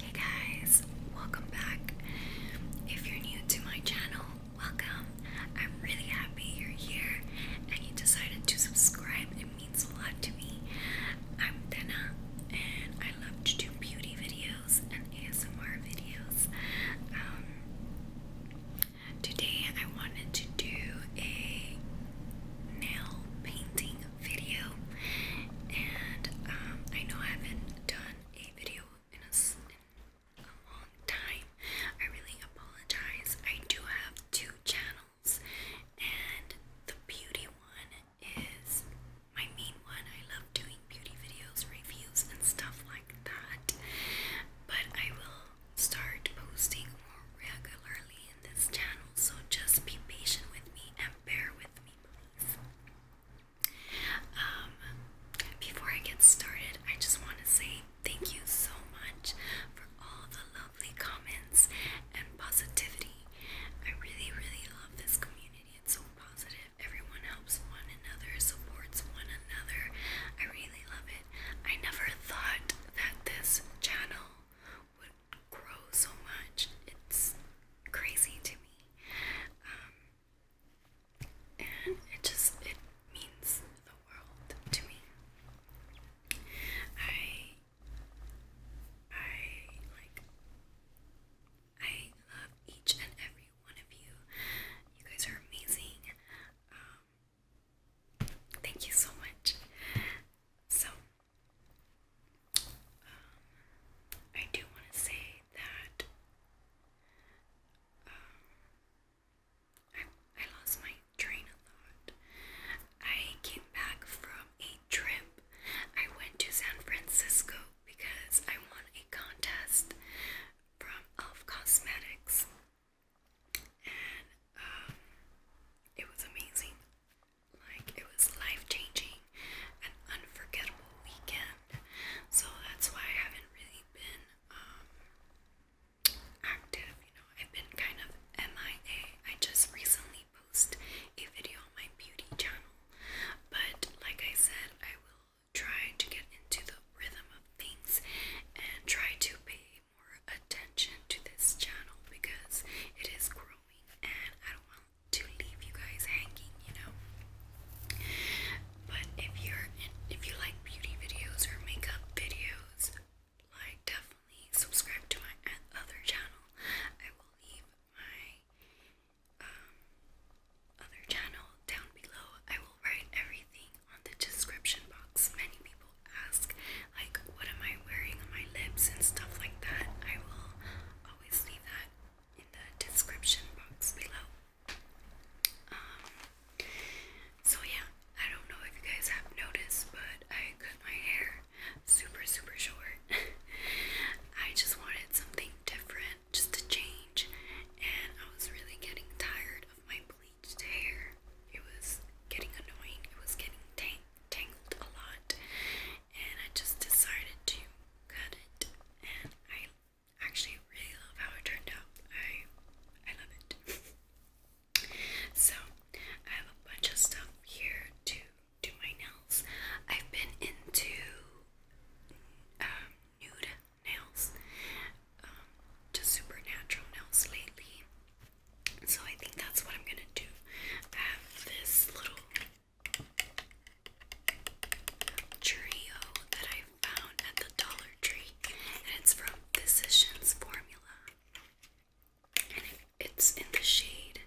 Hey guys, welcome back. If you're new to my channel, welcome. I'm really happy you're here and you decided to subscribe. It means a lot to me. I'm Dana and I love to do beauty videos and ASMR videos. Um, today I wanted to do a nail painting video. And um, I know I haven't done a video in a, long time. I really apologize. I do have two channels, and the beauty one is my main one. I love doing beauty videos, reviews, and stuff like that. But I will start posting more regularly in this channel, so just be patient with me and bear with me, please. Um, before I get started, I just want to say thank you so much for all the lovely comments and positivity. I really, really love this community. It's so positive. Everyone helps one another, supports one another. I really love it. I never thought that this channel would grow so much. It's crazy to me. Um, and it just it means the world to me. I I like I love each and every one of you. You guys are amazing. Um, thank you so much. So I do want to say that um, I, I lost my train of thought. I came back from a trip. I went to San Francisco because I won a contest from Elf Cosmetics, and um, it was amazing. Like it was life changing, an unforgettable weekend. So that's why I haven't really been um, active. You know, I've been kind of MIA. I just recently post a video on my beauty channel, but like I said, I will try to get into the rhythm of things and try to pay more attention to this channel because it is growing and I don't want to leave you guys hanging, you know. But if you're if you like beauty videos or makeup videos, like definitely subscribe to my other channel. I will leave my um other channel down below. I will write everything on the description box. Many people ask like what am I wearing on my lips and stuff like that. I will always leave that in the description box below. Um, so yeah, I don't know if you guys have noticed, but I cut my hair super, super short. I just wanted something different, just to change, and I was really getting tired of my bleached hair. It was getting annoying, it was getting tang tangled a lot, and I just decided to cut it and I actually really love how it turned out. I I love it. so I have a bunch of stuff here to do my nails. I've been into um, nude nails, um, just supernatural nails lately. So I think that's what I'm gonna do. have this little Cheerio that I found at the Dollar Tree, and it's from Physicians Formula, and it's in the shade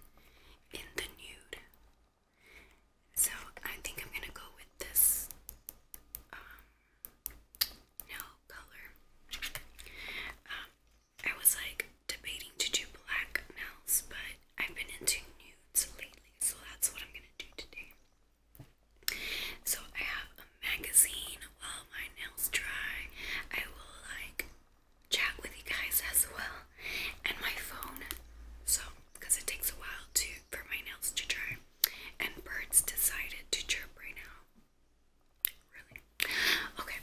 in the nude. So I think I'm gonna go with this um, nail color. Um, I was like debating to do black nails, but I've been into nudes lately, so that's what I'm gonna do today. So I have a magazine while my nails dry. I will like chat with you guys as well, and my phone. So because it takes a while to for my nails to dry, and birds decided to chirp right now. Really? Okay.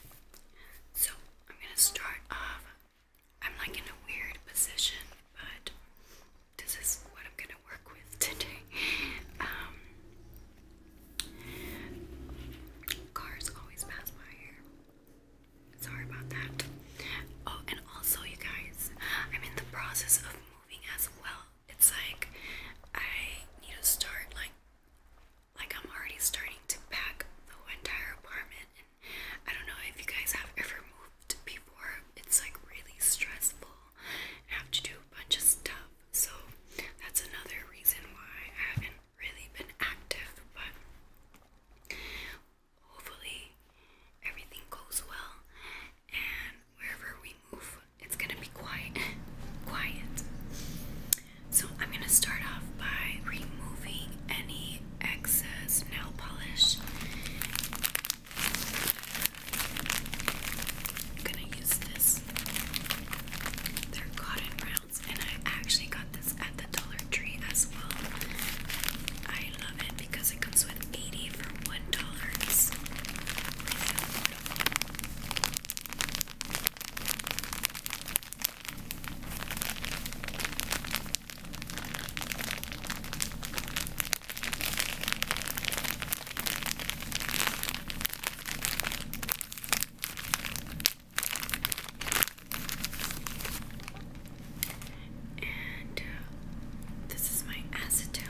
So I'm gonna start off I'm like in a weird position, but this is what I'm gonna work with today. Um, cars always pass by here. Sorry about that. Oh, and also, you guys, I'm in the process of moving as well. It's like I need to start like like I'm already starting to pack the entire apartment I don't know if you guys have ever moved before. It's like really stressful and have to do a bunch of stuff. So that's another reason why I haven't really been active, but hopefully everything goes well and wherever we move it's gonna be quiet quiet so i'm gonna start off by removing any excess nail polish. I'm gonna use this. They're cotton rounds, and I actually got this at the Dollar Tree as well. I love it because it comes with 80 for one dollar. And uh, this is my acetone.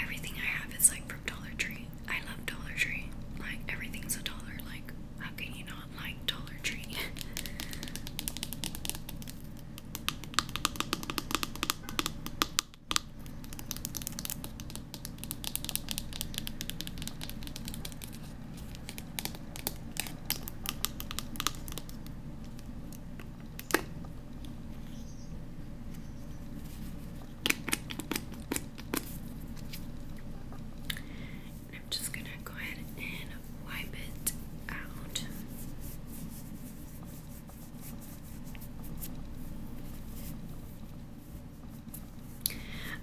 Everything I have is like from Dollar Tree. I love Dollar Tree. Like everything's a dollar. Like how can you not? Like Dollar Tree. I'm just gonna go ahead and wipe it out.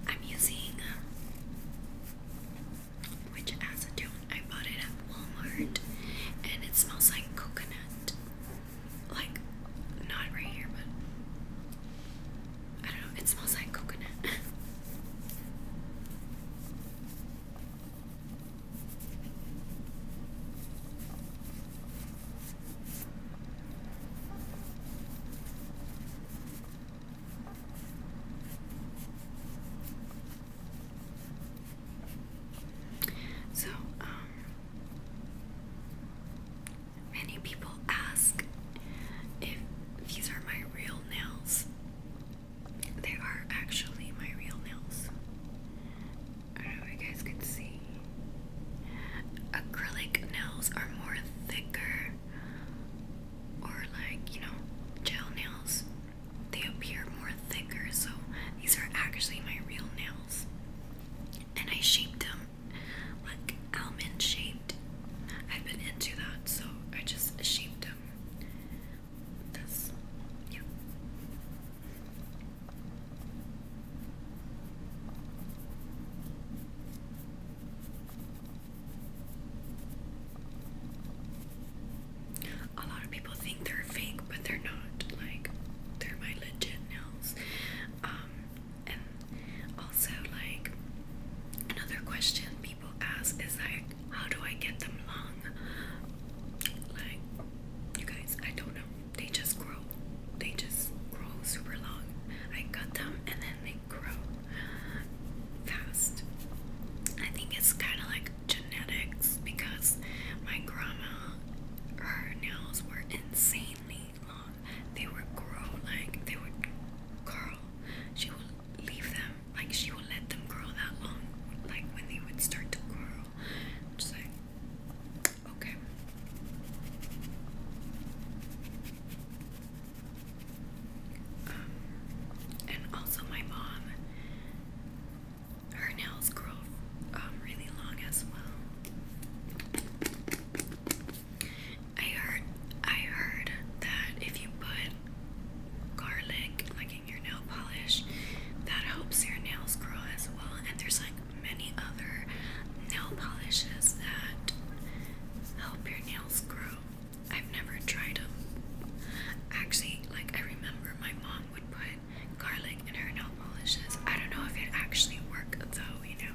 I'm using which acetone I bought it at Walmart and it smells like coconut. Like not right here but I don't know, it smells like coconut. So, um, many people ask if these are my real nails. They are actually my real nails. I don't know if you guys can see. Acrylic nails are more thicker, or like, you know, gel nails. They appear more thicker, so these are actually my real nails. And I shaped them like almond shape. I've been into that, so I just shaped them. This, yeah. A lot of people think they're fake, but they're not. Like, they're my legit nails. Um, and also, like, another question people ask is like, how do I get them long? Like, you guys, I don't know. They just grow. They just grow super long. I cut them and then they grow fast. I think it's kind of like genetics because my grandma, her nails were insanely long. They would grow like they would curl. She would leave them. Like she will let them grow that long. Like when they would start to grow. Just like okay. Um, and also my mom, her nails grow um, really long as well. I heard I heard that if you put garlic like in your nail polish, that helps your nails grow as well. And there's like many other nail polishes that help your nails grow. I've never tried them. Actually, like I remember my mom would put garlic in her nail polishes. I don't know if it actually worked though, you know.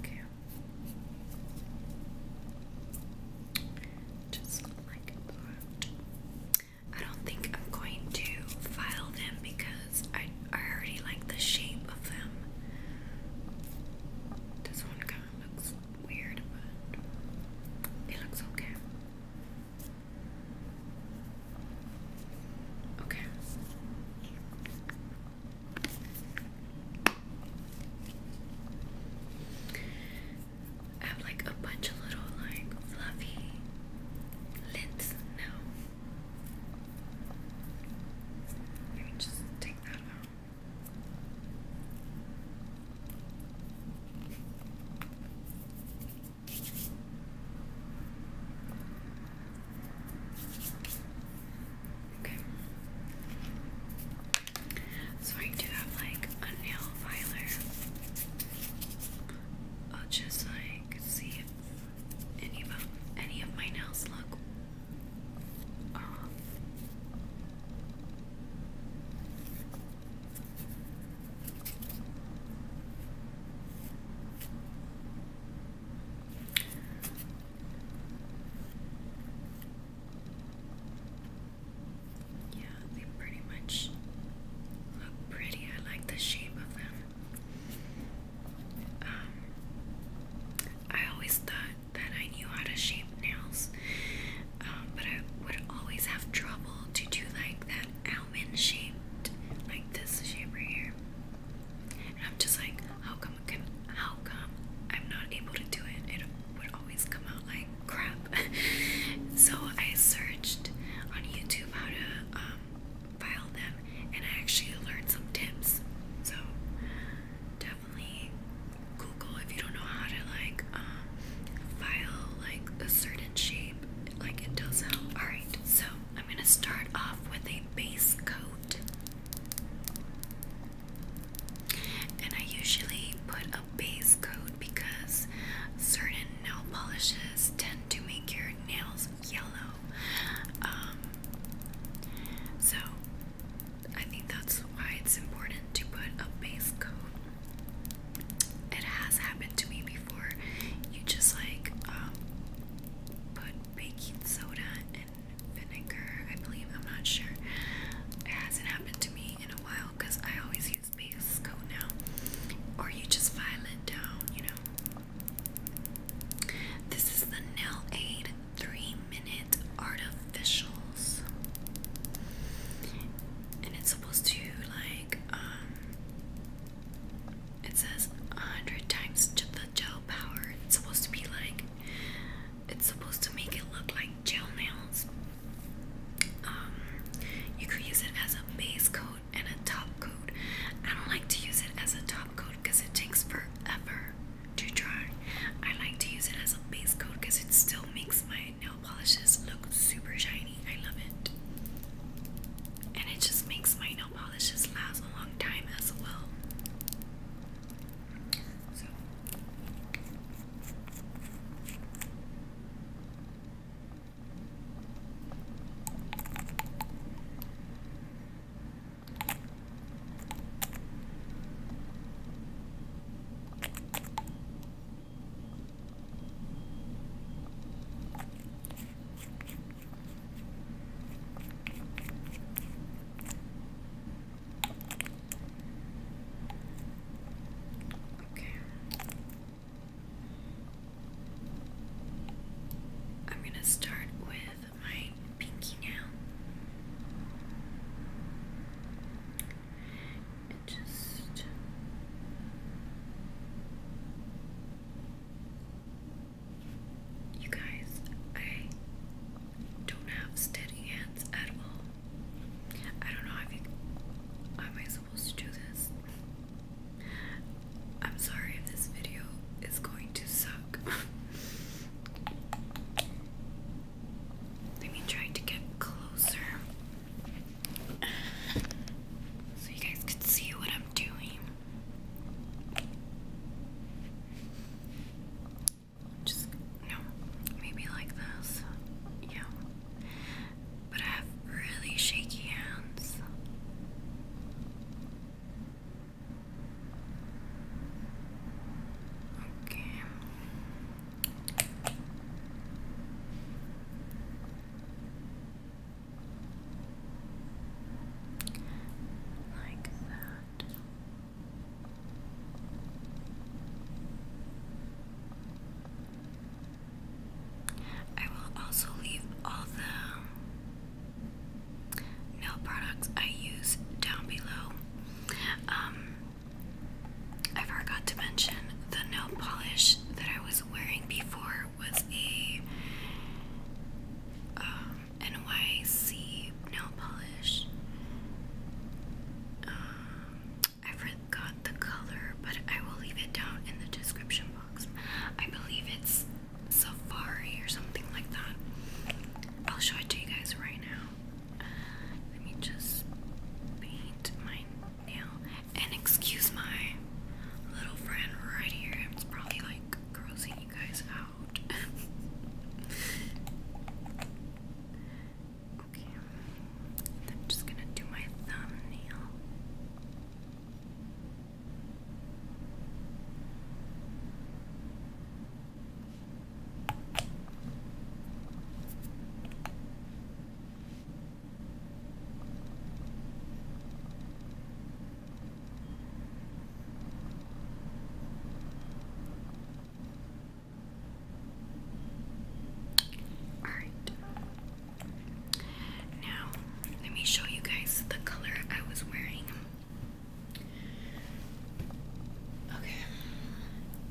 okay. Just like I don't think I'm going to file them because I I already like the shape of them. This one kind of looks weird, but it looks okay. Okay. I have like a bunch of little like fluffy lint now. Let me just take that out. Okay. So I do have like a nail filer. I'll just like see if any of any of my nails look um, yeah, they pretty much look pretty. I like the shape of them. Um, I always thought that I knew how to shape nails um, but I would always have trouble to do like that almond shaped, like this shape right here. And I'm just like, how come how come I'm not able to do it? It would always come out like crap. so I searched on YouTube how to um, file them, and I actually learned some tips. So definitely Google if you don't know how to like um, file like a certain shape, like it does help. Alright, so I'm gonna start off with a base coat. And I usually put a base coat because certain nail polishes tend to make your nails yellow. Um, so I think that's why it's important to put a base coat it has happened to me before. You just like um, put baking soda and vinegar, I believe. I'm not sure. It hasn't happened to me in a while because I always use base coat now. Or you just file it down, you know. This is the Nail Aid 3 Minute Art of officials. And it's supposed to like um it says a hundred times the gel power. It's supposed to be like it's supposed to make it look like gel nails. Um you could use it as a base coat and a top coat. I don't like to use it as a top coat because it takes forever to dry. I like to use it as a base coat because it still makes my my nail polishes look super shiny. I love it. And it just makes my nail polishes last a long time as well. Okay. I'm going to start with my pinky now just you guys, I don't have steady hands at all. I don't know. I think am I supposed to do this? I'm sorry if this video is going to suck. Let me try to get closer so you guys can see what I'm doing. Just, no, maybe like this. Yeah. But I have really shaky hands. Okay. Like that. I will also leave all the nail products I use down below. Um, I forgot to mention the nail polish that I was wearing before was a um, NYC nail polish. Um, I forgot the color, but I will leave it down in the description box. I believe it's Safari or something like that. I'll show it to you guys right now. Let me just paint mine and excuse my little friend right here. It's probably like grossing you guys out. okay. I'm just gonna do my thumbnail. All right. Now, let me show you guys the color I was wearing. Okay.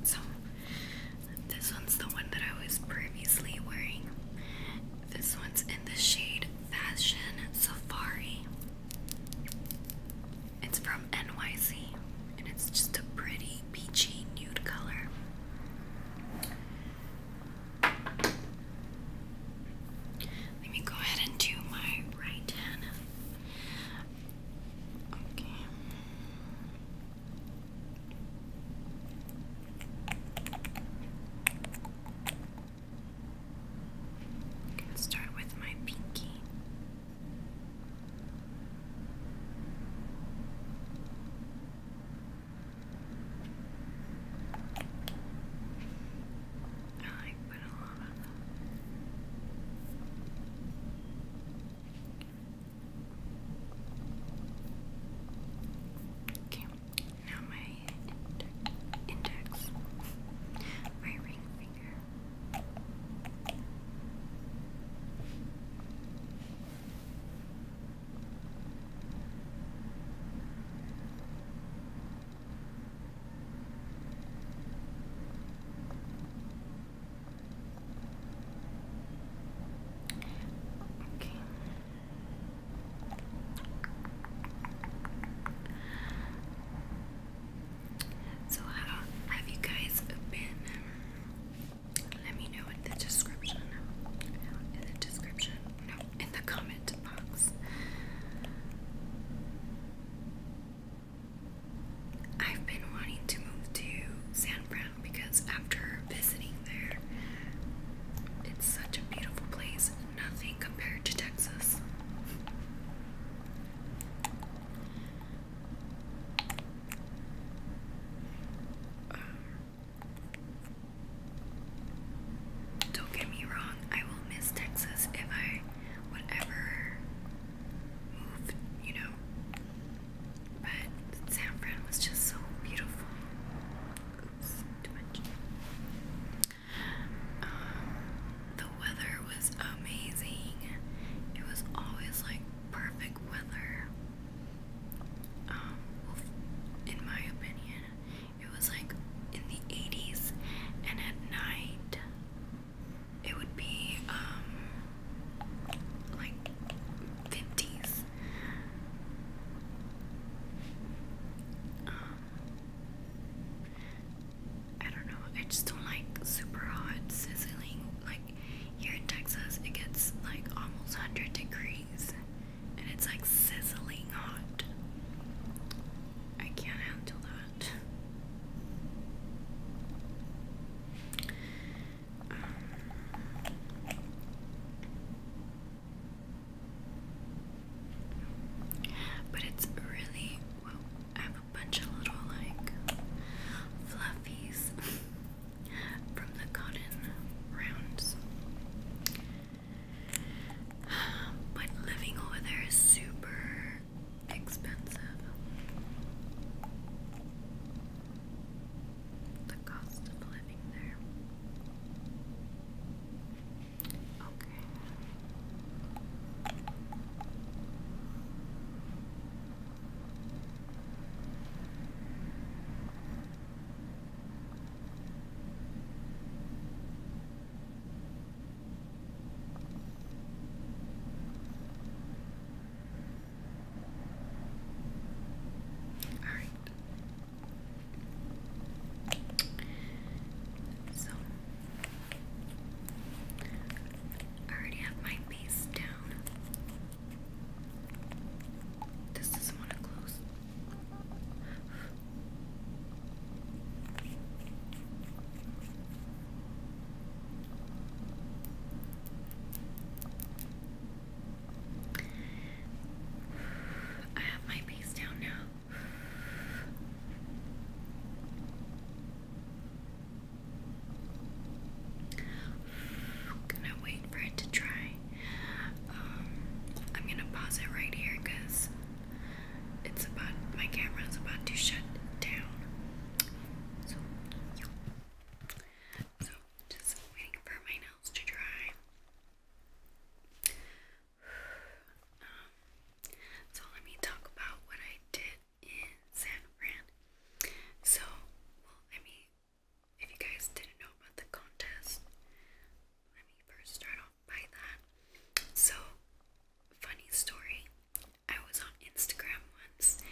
So, this one's the one that I was previously wearing. This one's in the shade Fashion Safari. It's from NYC and it's just a pretty peachy nude color. Let me go ahead and do my right hand. Okay. I can start with my pinky. I put a lot on Okay, now my ind index, my ring finger. Okay. Okay. So have you guys been? Um, let me know in the description. In the description. No, in the comment box. I've been wanting to move to San Fran because after visiting there, it's such a beautiful place, nothing compared to Texas. Uh, don't get me wrong, I will miss Texas if I would move, you know. But the saffron was just so beautiful. Oops, too much. Um, the weather was amazing. It was always like perfect weather. Um, in my opinion, it was like in the 80s, and at night, it would be um, like 50s. Um, I don't know. I just don't like super hot sizzling. Like here in Texas, it gets like almost 100 degrees and it's like sizzling hot. I can't handle that. But it's really I have a bunch of little like fluffies from the cotton rounds. But living over there is super expensive the cost of living there. Okay. Alright. So, I already have my base down. This doesn't want to close. I have my base down now. Gonna wait for it to dry. Um, I'm gonna pause it right here because it's about my camera is about to shut down. so just waiting for my nails to dry. Um, so let me talk about what I did in San Fran. So, well, I mean, if you guys didn't know about the contest, let me first start off by that. So, funny story. I was on Instagram once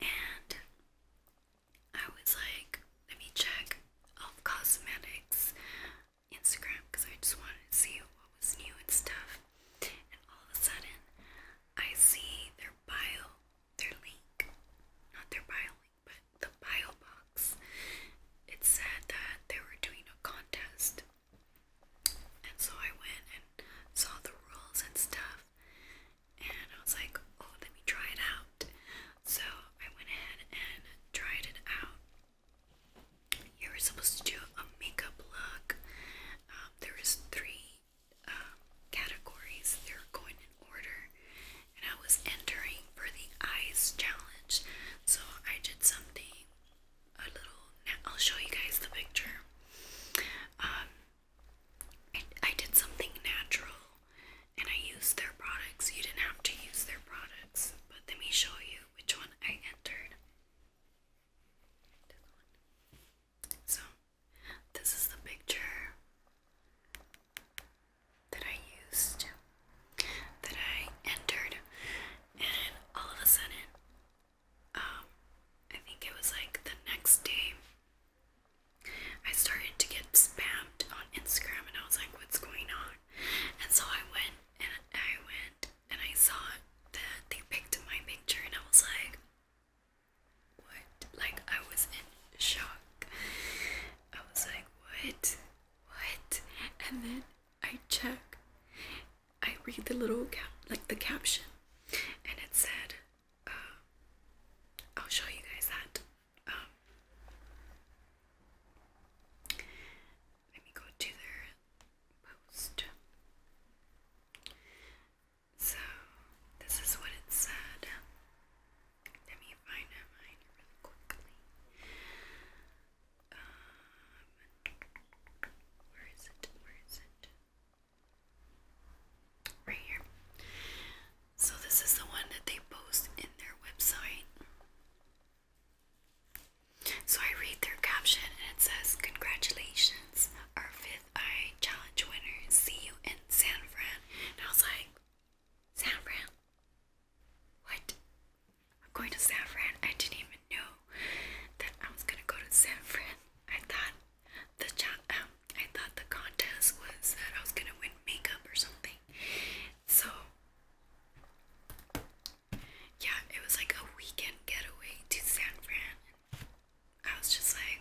and I was like, let me check Elf Cosmetics Instagram because I just wanted to see what was new and stuff. And all of a sudden, I see their bio, their link, not their bio link, but the bio box. It said that they were doing a contest. And so I went and saw the rules and stuff and I was like, oh, let me try it out. So I went ahead and tried it out. You were supposed to do a makeup look. Um, there was three um, categories. They were going in order, and I was entering for the eyes challenge. So I did something a little. I'll show you guys the picture. Um, I, I did something natural and I used their products. You didn't have to use their products, but let me show you which one I entered. So, this is the picture that I used, that I entered, and all of a sudden, um, I think it was like the next day, I started to get spammed on Instagram and I was like, what's going on? And so I went and I went and I saw that they picked my picture and I was like, what? Like, I was in shock. I was like, what? What? And then I check, I read the little cap, like the caption, and it said, uh, I'll show you guys that. Um, let me go to their post. So, this is what it said. Let me find mine really quickly. Um, where is it? Where is it? Right here. So, this is the one that they post in their website. So, I read their caption and it says, Congratulations, our fifth eye challenge winner. See you in San Fran. And I was like, San Fran? What? I'm going to San Fran. I didn't even know that I was gonna go to San Fran. I thought the cha I thought the contest was that I was gonna win makeup or something. So, yeah, it was like a weekend getaway to San Fran. I was just like,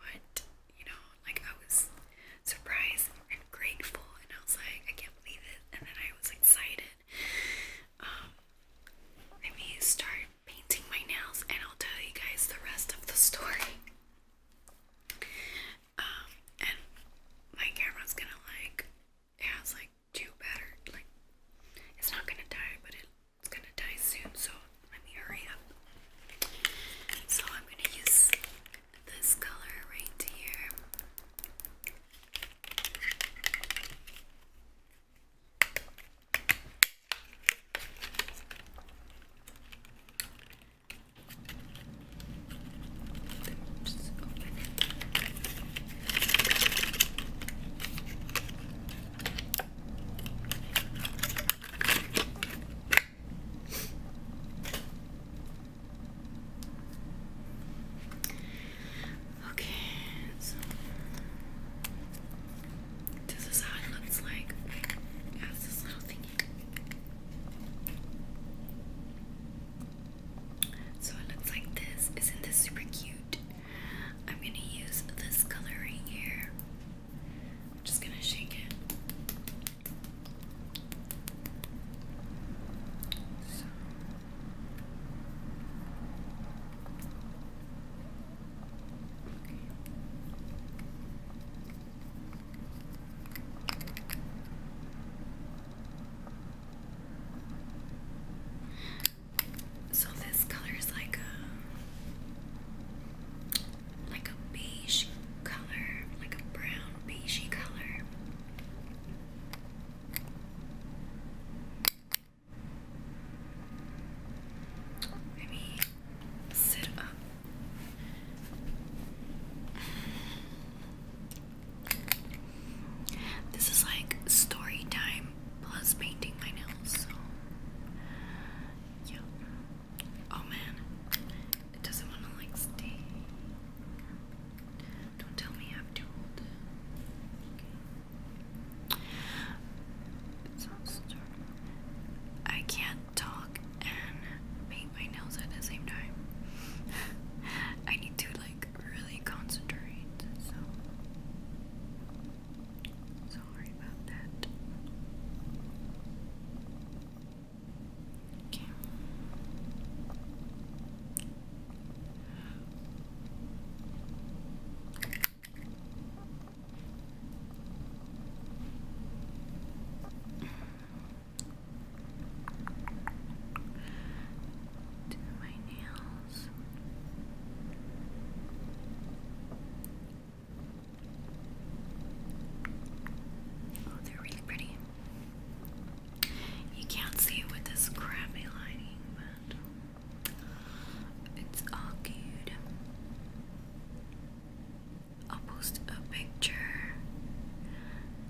what? You know, like I was surprised and grateful, and I was like, I can't believe it. And then I was excited. Um, let me start painting my nails, and I'll tell you guys the rest of the story. Um, and my camera's gonna like, it has like two batter, like, it's not gonna die, but it's gonna die soon, so let me hurry up. So I'm gonna use this color right here. Okay, so this is how like as this little thing. So it looks like this. Isn't this super cute? I'm gonna use this color right here. I'm just gonna shake it. So. So this color is like a like a beige color, like a brown beigey color. Maybe Sit up. This is like story time plus painting my nails, yeah. Oh man, it doesn't want to like stay. Don't tell me I'm too old. Okay. It's not I can't talk and paint my nails at the same time. I need to like really concentrate. So sorry about that. Okay. Do my nails. Oh, they're really pretty. You can't see it with this crappy lighting, but it's all good. I'll post a picture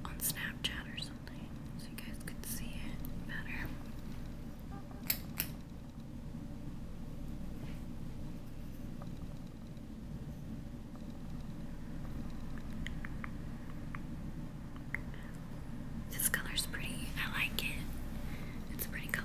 on Snapchat or something so you guys could see it better. This color's pretty. I like it. It's a pretty color.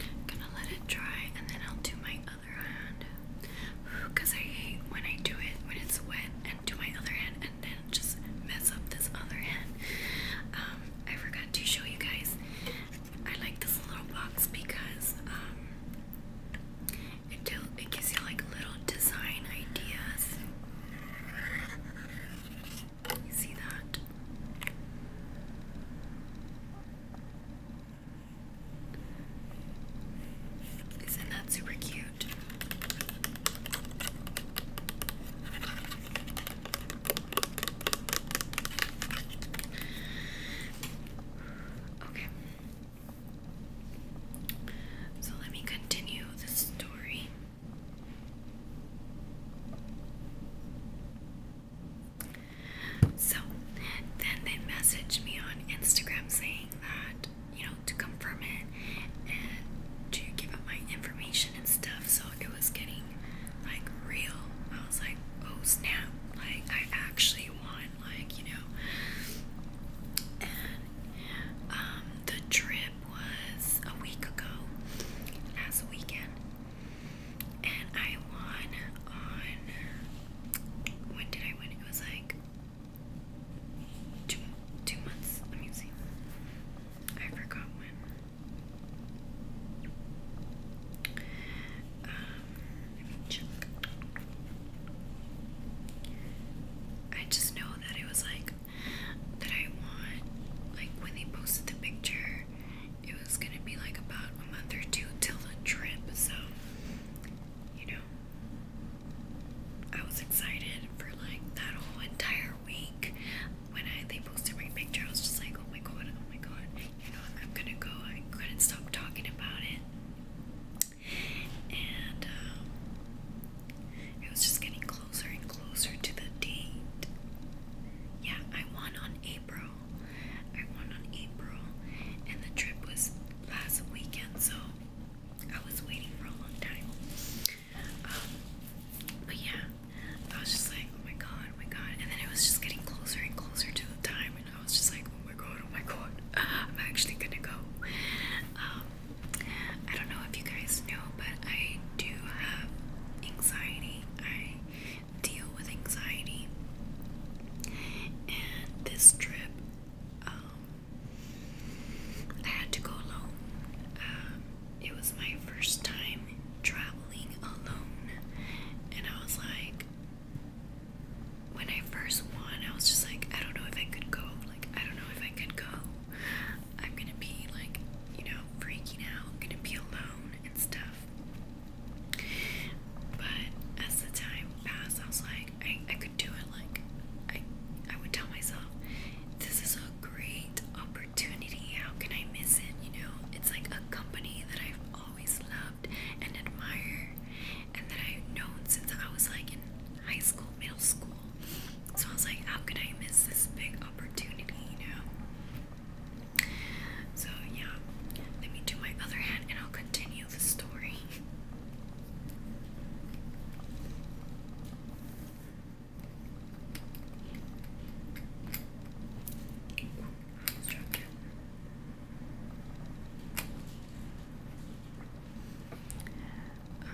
i gonna let it dry and then I'll do my other hand. Because I hate when I do it when it's wet and do my other hand and then just mess up this other hand. Um, I forgot to show you guys. I like this little box because um, it, do it gives you like little design ideas. You see that? Isn't that super cute? Okay. So let me continue the story. So then they messaged me on Instagram saying that, you know, to confirm it and to give up my information and stuff. So it was getting like real. I was like, oh snap, like I actually want like, you know. Um, the trip was a week ago, last weekend, and I won on when did I win? It was like two two months. Let me see. I forgot when. Um, check. I just know that it was like that I want. Like when they posted the picture, it was gonna be like about a month or two till the trip, so you know, I was excited for like that whole entire week. When I they posted my picture, I was just like, oh my god, oh my god, you know, I'm gonna go. I couldn't stop talking about it. And um, it was just getting closer and closer to the date. Yeah, I won on April. I won on April, and the trip was last weekend, so I was waiting for a long time. Um, but yeah, I was just like, oh my god, oh my god, and then it was just getting closer and closer to the time, and I was just like, oh my god, oh my god, I'm actually gonna go. Um, I don't know if you guys know, but I do have anxiety. I deal with anxiety. And this trip, um, I had to go alone. Um, it was my first time traveling alone, and I was like, when I first won, I was just like, I don't know if I could go. Like, I don't know if I could go. I'm gonna be like, you know, freaking out, I'm gonna be alone and stuff. But as the time passed, I was like, I, I could do it. Like, I, I would tell myself, this is a great opportunity. How can I miss it? You know, it's like a company that I've always loved and admired and that I've known since I was like in high school, middle school. So I was like, how could I miss this big opportunity, you know? So yeah, let me do my other hand and I'll continue the story. Um,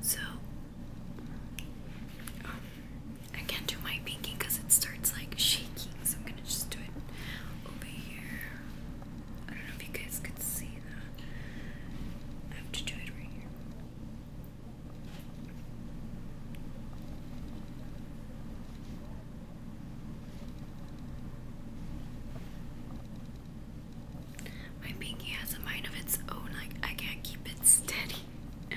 so, um, I can't do my pinky because it starts like shaking, so I'm gonna just do it over here. I don't know if you guys could see that. I have to do it right here. My pinky has a mind of its own, like I can't keep it steady.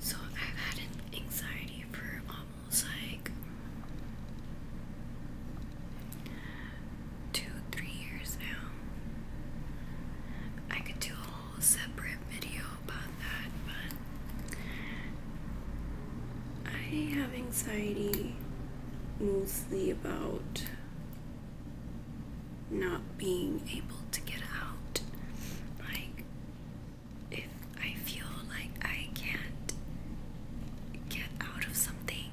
So I've had anxiety for almost like two, three years now. I could do a whole separate video about that, but I have anxiety mostly about not being able to get out. Like, if I feel like I can't get out of something,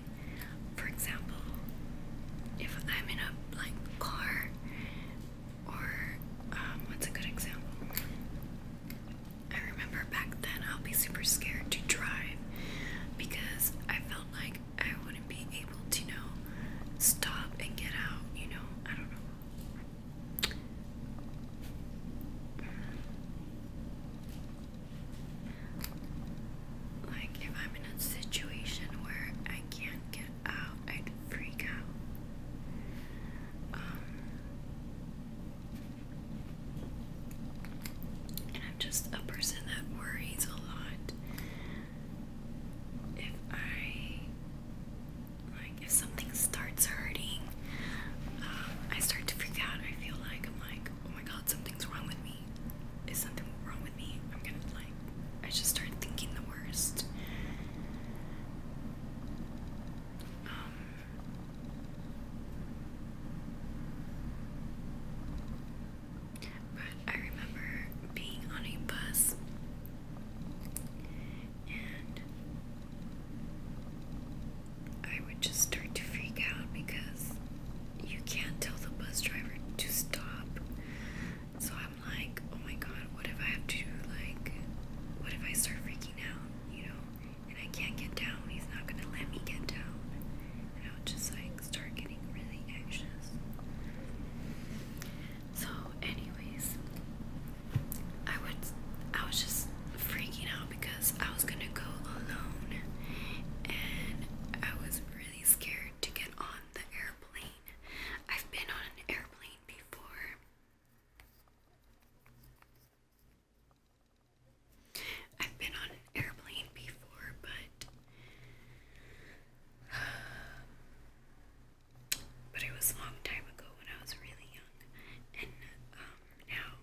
for example, if I'm in a like car, or um, what's a good example? I remember back then I'll be super scared to drive because I felt like I wouldn't be able to, know, stop and get out, you know, I don't know. Like, if I'm in a situation where I can't get out, I'd freak out. Um, and I'm just a person that worries a lot if I like if something starts hurting, um, I start to freak out. I feel like I'm like, oh my god, something's wrong with me. Is something wrong with me? I'm gonna like, I just start thinking the worst. Um, but I remember being on a bus and I would just start to freak out because you can't tell the bus driver to stop. So I'm like, oh my god, what if I have to, like, what if I start freaking out, you know, and I can't get down? He's not gonna let me get down. And I was just like, start getting really anxious. So, anyways, I would I was just freaking out because I was gonna go alone, and I was really scared to get on the airplane. I've been on an airplane before. I've been on an airplane before, but But it was a long time ago when I was really young, and um, now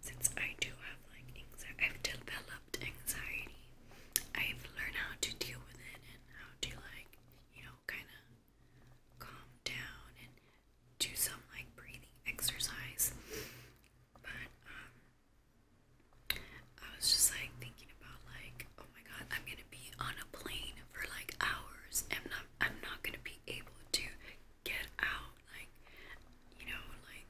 since I do have like anxiety, I've developed anxiety. I've learned how to deal with it and how to like you know kind of calm down and do some like breathing exercise. But um, I was just like thinking about like, oh my god, I'm gonna be on a plane for like hours and not I'm not gonna be able to get out, like you know, like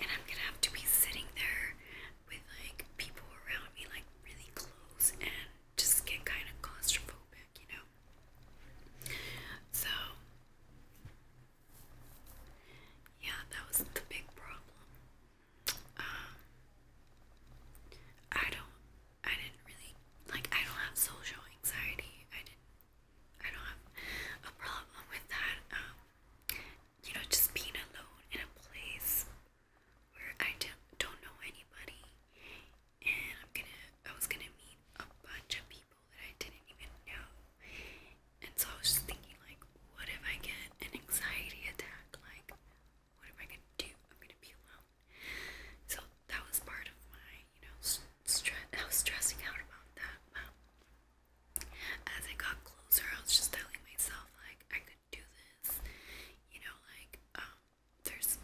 and I'm gonna have to be sitting there with like people around me like really close and just get kind of claustrophobic, you know. So yeah, that was not the big problem. Um, I don't, I didn't really, like, I don't have social anxiety, I didn't, I don't have a problem with that, um, you know, just being alone in a place where I don't know anybody, and I'm gonna, I was gonna meet a bunch of people that I didn't even know, and so I was just thinking, like, what if I get an anxiety attack? Like, what am I gonna do? I'm gonna be alone. So that was part of my, you know, stress. I was stressing out about that. Wow. As I got closer, I was just telling myself, like, I could do this. You know, like, um, there's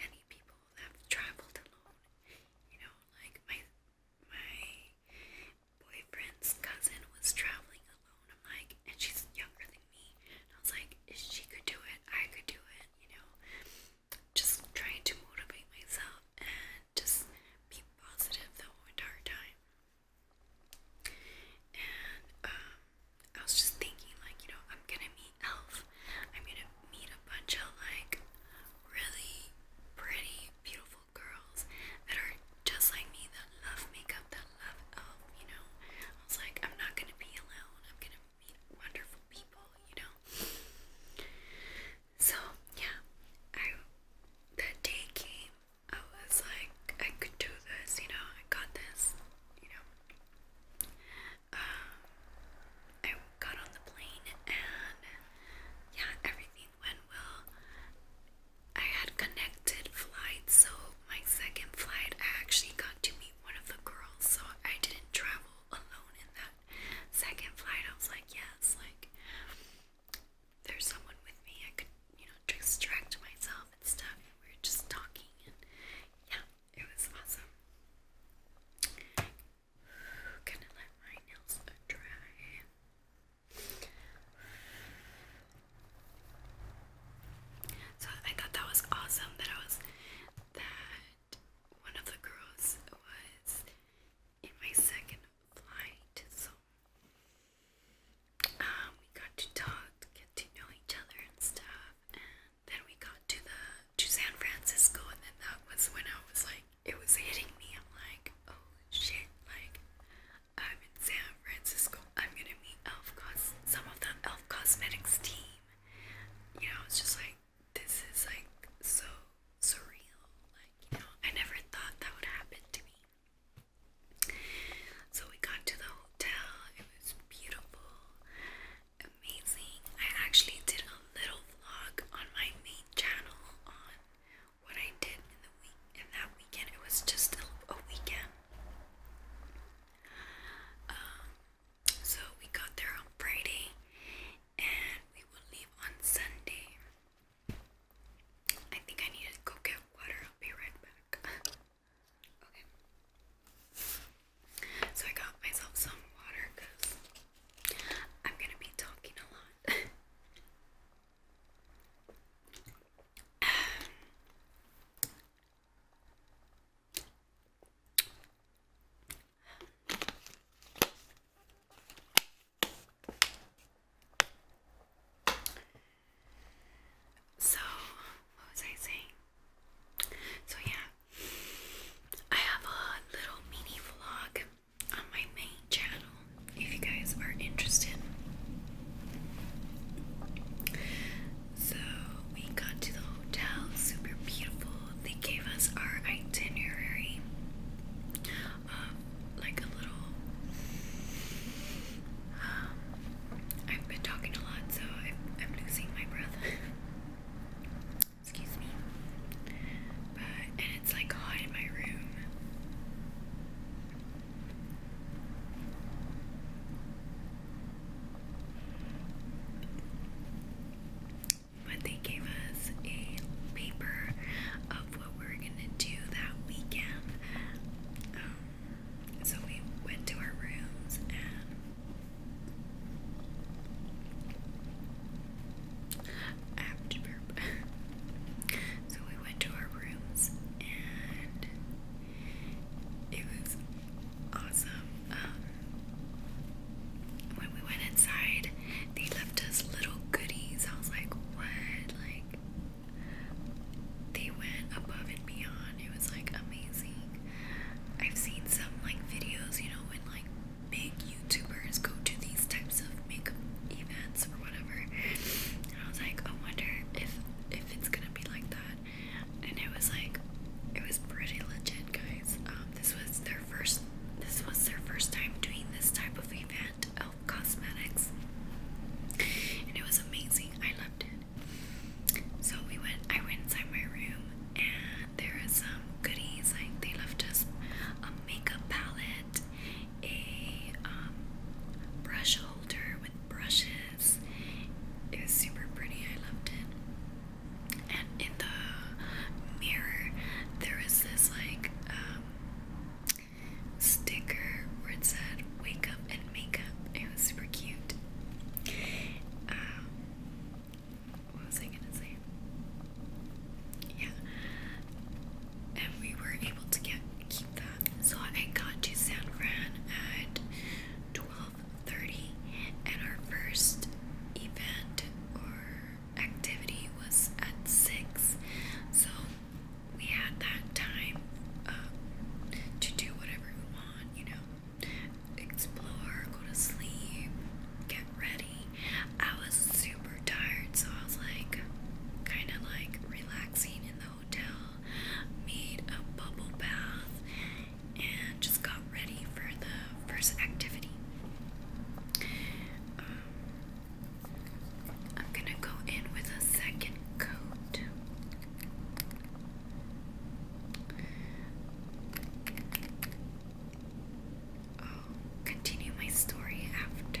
many people that have traveled alone. You know, like my my boyfriend's cousin was traveling alone. I'm like, and she's younger than me. And I was like, if she could do it, I could do it, you know. Just trying to motivate myself and just be positive the whole entire time. And um, I was just thinking, like, you know, I'm gonna meet Elf. I'm gonna meet a bunch of like really pretty, beautiful beautiful girls that are just like me that love makeup, that love elf, you know. I was like, I'm not gonna be alone, I'm gonna meet wonderful people, you know. So yeah, I that day came, I was like, I could do this, you know, I got this, you know. Um, I got on the plane and yeah, everything went well. I had connected flight, so my second flight I actually got to meet one of the girls, so I didn't travel alone in that second flight. I was like, yes, like there's someone with me. I could, you know, distract myself and stuff. And we were just talking, and yeah, it was awesome. Gonna let my nails dry. So I thought that was awesome that I was that one of the girls was in my second flight. So um, we got to talk, get to know each other and stuff, and then we got to the to San Francisco, and then that was when I was like, it was hitting me. I'm like, oh shit! Like, I'm in San Francisco. I'm gonna meet Elf Cos some of the Elf Cosmetics team. You know, it's just like this is like so surreal. Like, you know, I never thought that would happen to me. So we got to the hotel, it was beautiful, amazing. I actually did a little vlog on my main channel on what I did in the week in that weekend. It was just a, weekend. Um, so we got there on Friday, and we will leave on Sunday. I think I need to go get water. I'll be right back. okay. So I got myself some water because I'm gonna be talking a lot. So, what was I saying? So, yeah, I have a little mini vlog on my main channel if you guys are interested. So we got to the hotel, super beautiful. They gave us our itinerary like a little. Um, I've been talking a lot, so I'm, losing my breath. Excuse me. and it's like hot in my room. But they gave us a paper of what we were gonna do that weekend. Um, so we went to our rooms and so we went to our rooms and it was awesome. Um, when we went inside, they left us little goodies. I was like, what? Like, they went above and beyond. It was like amazing. I've seen some like videos, you know, when like big YouTubers go to these types of makeup events or whatever, I was like, I wonder if if it's gonna be like that. And it was like, it was pretty legit, guys. Um, this was their first. This was their first time doing this type of event, of Cosmetics, and it was amazing. I loved it. So we went. I went inside my room, and there is some goodies. Like they left us a makeup palette, a um, brush holder with brushes this. It was super pretty. I loved it. And in the mirror, there was this like um, sticker where it said "Wake up and make up." It was super cute. Um, what was I gonna say? Yeah. And we were able to get so I got to San Fran at 12:30, and our first event or activity was at six. So we had that time um, to do whatever we want, you know, explore, go to sleep, get ready. I was super tired, so I was like, kind of like relaxing in the hotel, made a bubble bath, and just got ready for the first activity. Um, I'm gonna go in with a second coat. i continue my story after.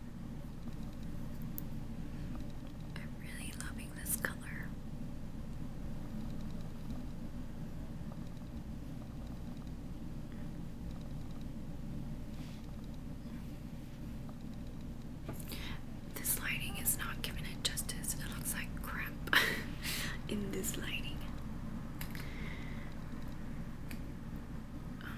I'm really loving this color. This lighting is not giving it justice. It looks like crap in this lighting. Um,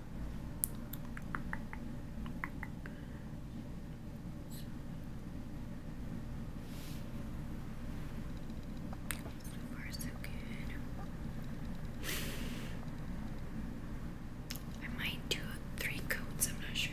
I might do three coats, I'm not sure.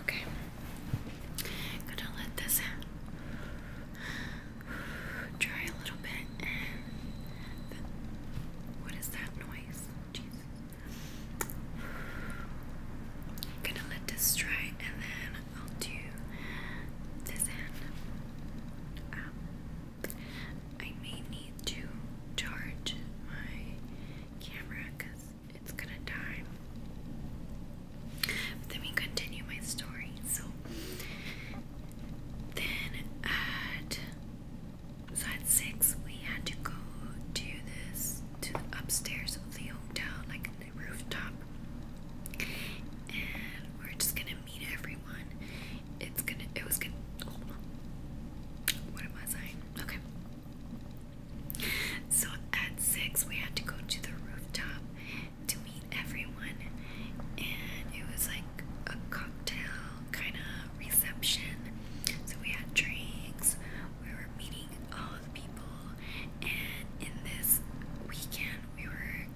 Okay. Gonna let this dry a little bit what is that noise? Jesus. Gonna let this dry and then I'll do this end. Um, I may need to charge my camera it's gonna die. let me continue my story. So then at so at six we had to go to this to the upstairs of the hotel, like the rooftop. And we're just gonna meet everyone. It's gonna. It was going What am I saying? Okay. So at six, we had to go to the rooftop to meet everyone, and it was like a cocktail kind of reception. So we had drinks. We were meeting all the people, and in this weekend, we were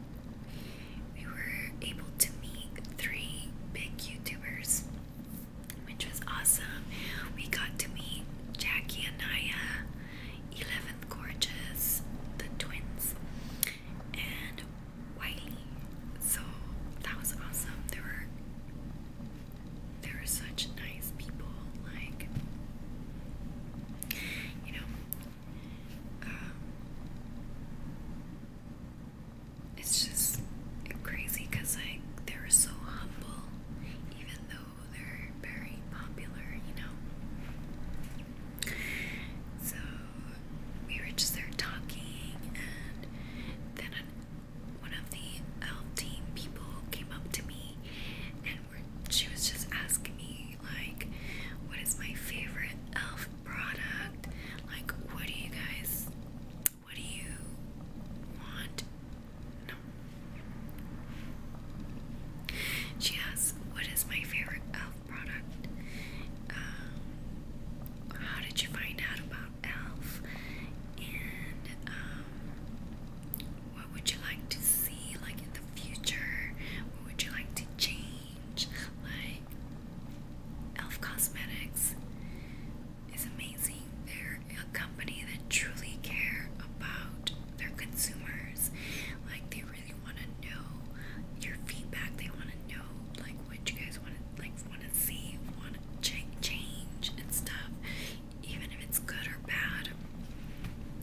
we were able to meet three big YouTubers, which was awesome. We got to meet Jackie and Anaya, 11th Gorgeous, the twins, and Wiley. So that was awesome. There were they were such nice people, like you know, um, it's just crazy because like they were so humble, even though they're very popular, you know. So we were just there talking, and then one of the L team people came up to me, and she was just asking me like what is my favorite elf product like what do you guys what do you want no she asks what is my favorite elf product um, how did you find out about elf and um what would you like to see like in the future? What would you like to change? Like Elf Cosmetics is amazing. They're a company that truly care about their consumers. Like they really want to know your feedback. They want to know like what you guys want to like want to see, want to ch change and stuff, even if it's good or bad.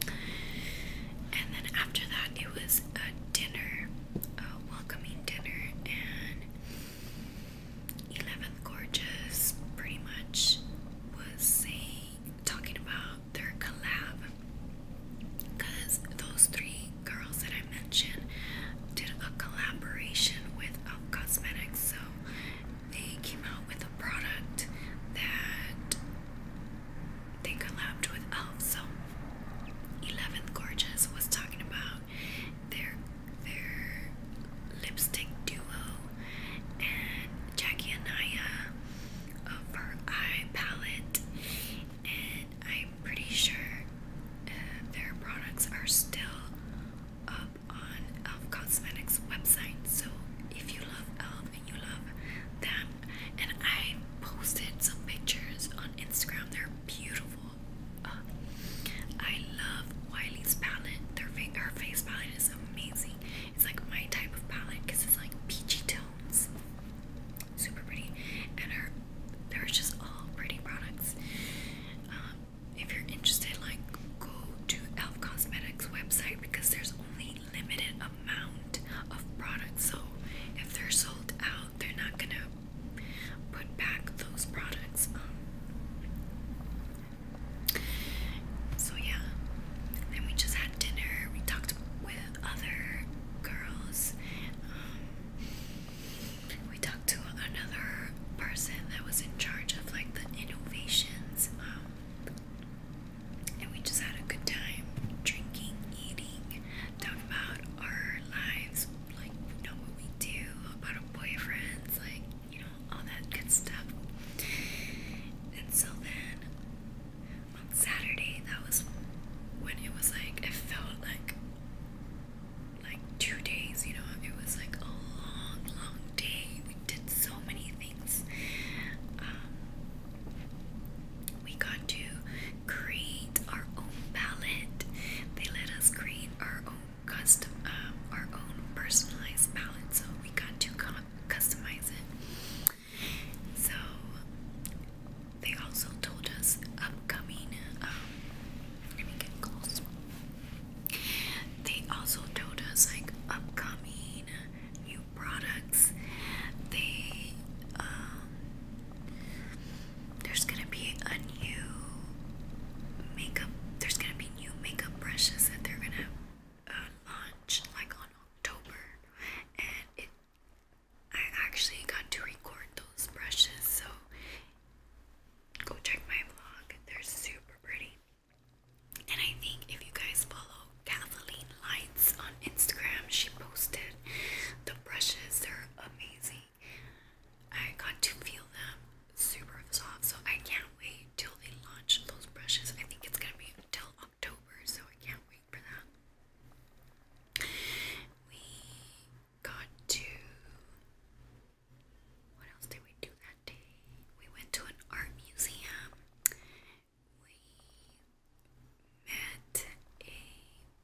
And then after that, it was dinner, a welcoming dinner, and 11th Gorgeous pretty much was saying, talking about their collab. Because those three girls that I mentioned did a collaboration with Elf Cosmetics, so they came out with a product that they collabed with Elf. So, 11th Gorgeous was talking about their their lipstick duo and Jackie Anaya of her eye palette, and I'm pretty sure uh, their products are still up on Elf Cosmetics website. So if you love Elf and you love them, and I posted some pictures on Instagram. They're beautiful. Uh, I love Wiley's palette. Their her face palette is amazing. It's like my type of palette because it's like peachy tones, super pretty. And her, they just all pretty products. Um, if you're interested, like go to Elf Cosmetics website because there's only limited amount of product sold. If they're sold out, they're not gonna put back those products. Um, so yeah. Then we just had dinner. We talked with other girls. Um, we talked to another person that was in charge of like the innovations. Um, and we just had a good time drinking, eating talk about our lives, like know what we do, about our boyfriends, like you know all that good stuff. And so then on Saturday, that was when it was like it felt like like two days. You know, it was like a long, long day. We did so many things. Um, we got to create our own palette. They let us create our own custom, uh, our own personalized palette. So we got to customize it. So they also told us upcoming. Um, let me get close. They also told us like upcoming new products. They um, there's gonna be a new makeup. There's gonna be new makeup brushes that they're gonna uh, launch like on October, and it. I actually got to record those brushes, so go check my vlog. They're super pretty. And I think if you guys follow Kathleen Lights on Instagram, she posted The brushes, they're amazing. I got to feel them super soft, so I can't wait till they launch those brushes. I think it's gonna be until October, so I can't wait for that. We got to. What else did we do that day? We went to an art museum. We met a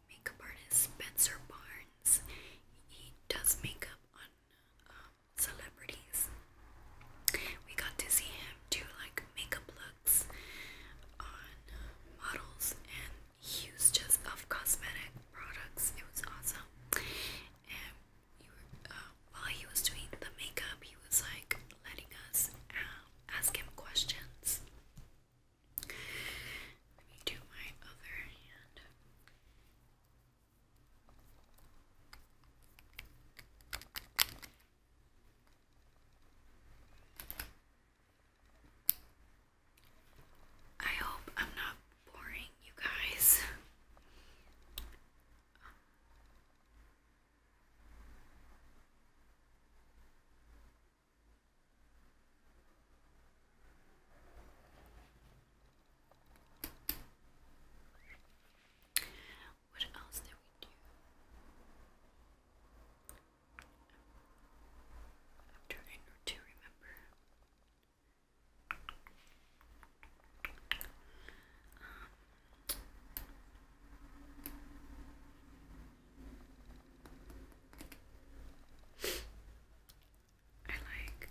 makeup artist, Spencer Barnes. He does makeup on um, celebrities. We got to see him do like makeup looks on models, and he just of cosmetic products. It was awesome. And uh, while he was doing the makeup, he was like letting us uh, ask him questions. Let me do my other hand. I hope I'm not boring you guys. What else did we do? I'm trying to remember. Um, I like.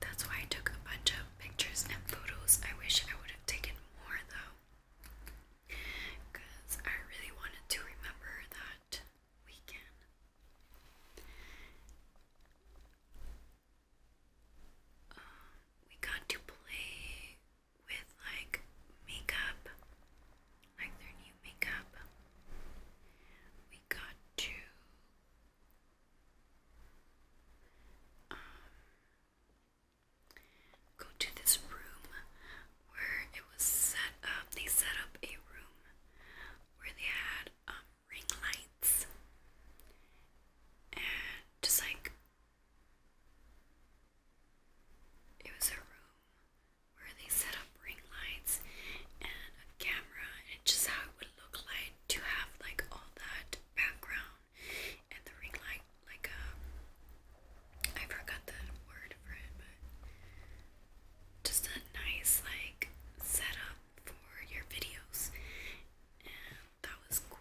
That's why I took a bunch of pictures and photos. I wish I would have taken more though. Because I really wanted to remember that weekend. Um, we got to play with like makeup, like their new makeup. We got to um, go to this room where it was set up. They set up a room where they had um, ring lights and just like it was a room where they set up ring lights and a camera, and just how it would look like to have like all that background and the ring light, like um, forgot the word for it, but just a nice like setup for your videos, and that was cool.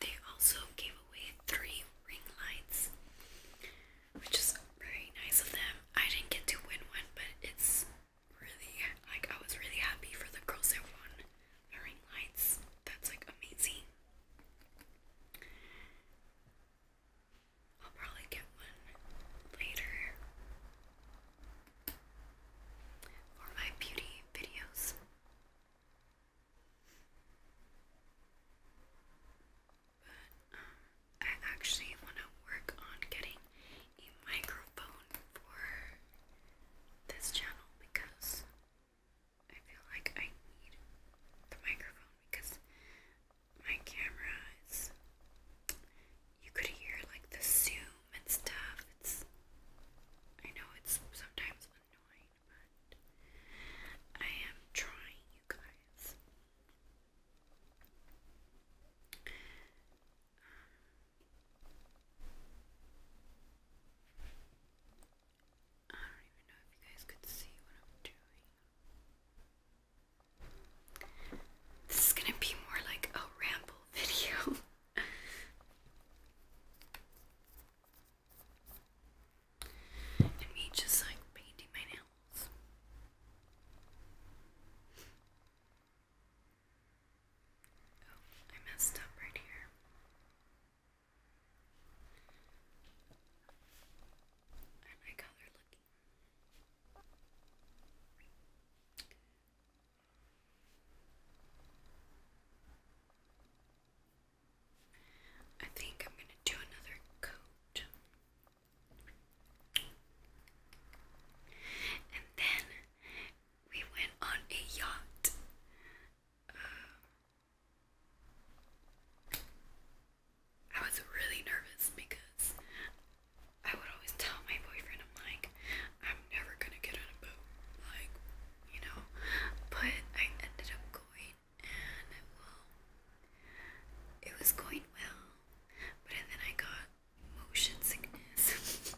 They also gave away three ring lights, which is very nice of them. I didn't get to win one, but it's really like I was really happy for the girls that won ring lights. That's like amazing. I'll probably get one later for my beauty videos. But um, I actually want to work on getting a microphone for this channel because I feel like I need the microphone because my camera is. You could hear like the zoom and stuff. It's. I know it's sometimes annoying, but I am trying, you guys. Um, I don't even know if you guys could see what I'm doing. This is gonna be more like a ramble video. And me just like painting my nails. Oh, I messed up right here. I like looking. I think I'm going to do another coat. And then we went on a yacht. Uh, I was really nervous because I would always tell my boyfriend, I'm like, I'm never gonna get on a boat. Like, you know, but I ended up going and it was going well, but then I got motion sickness.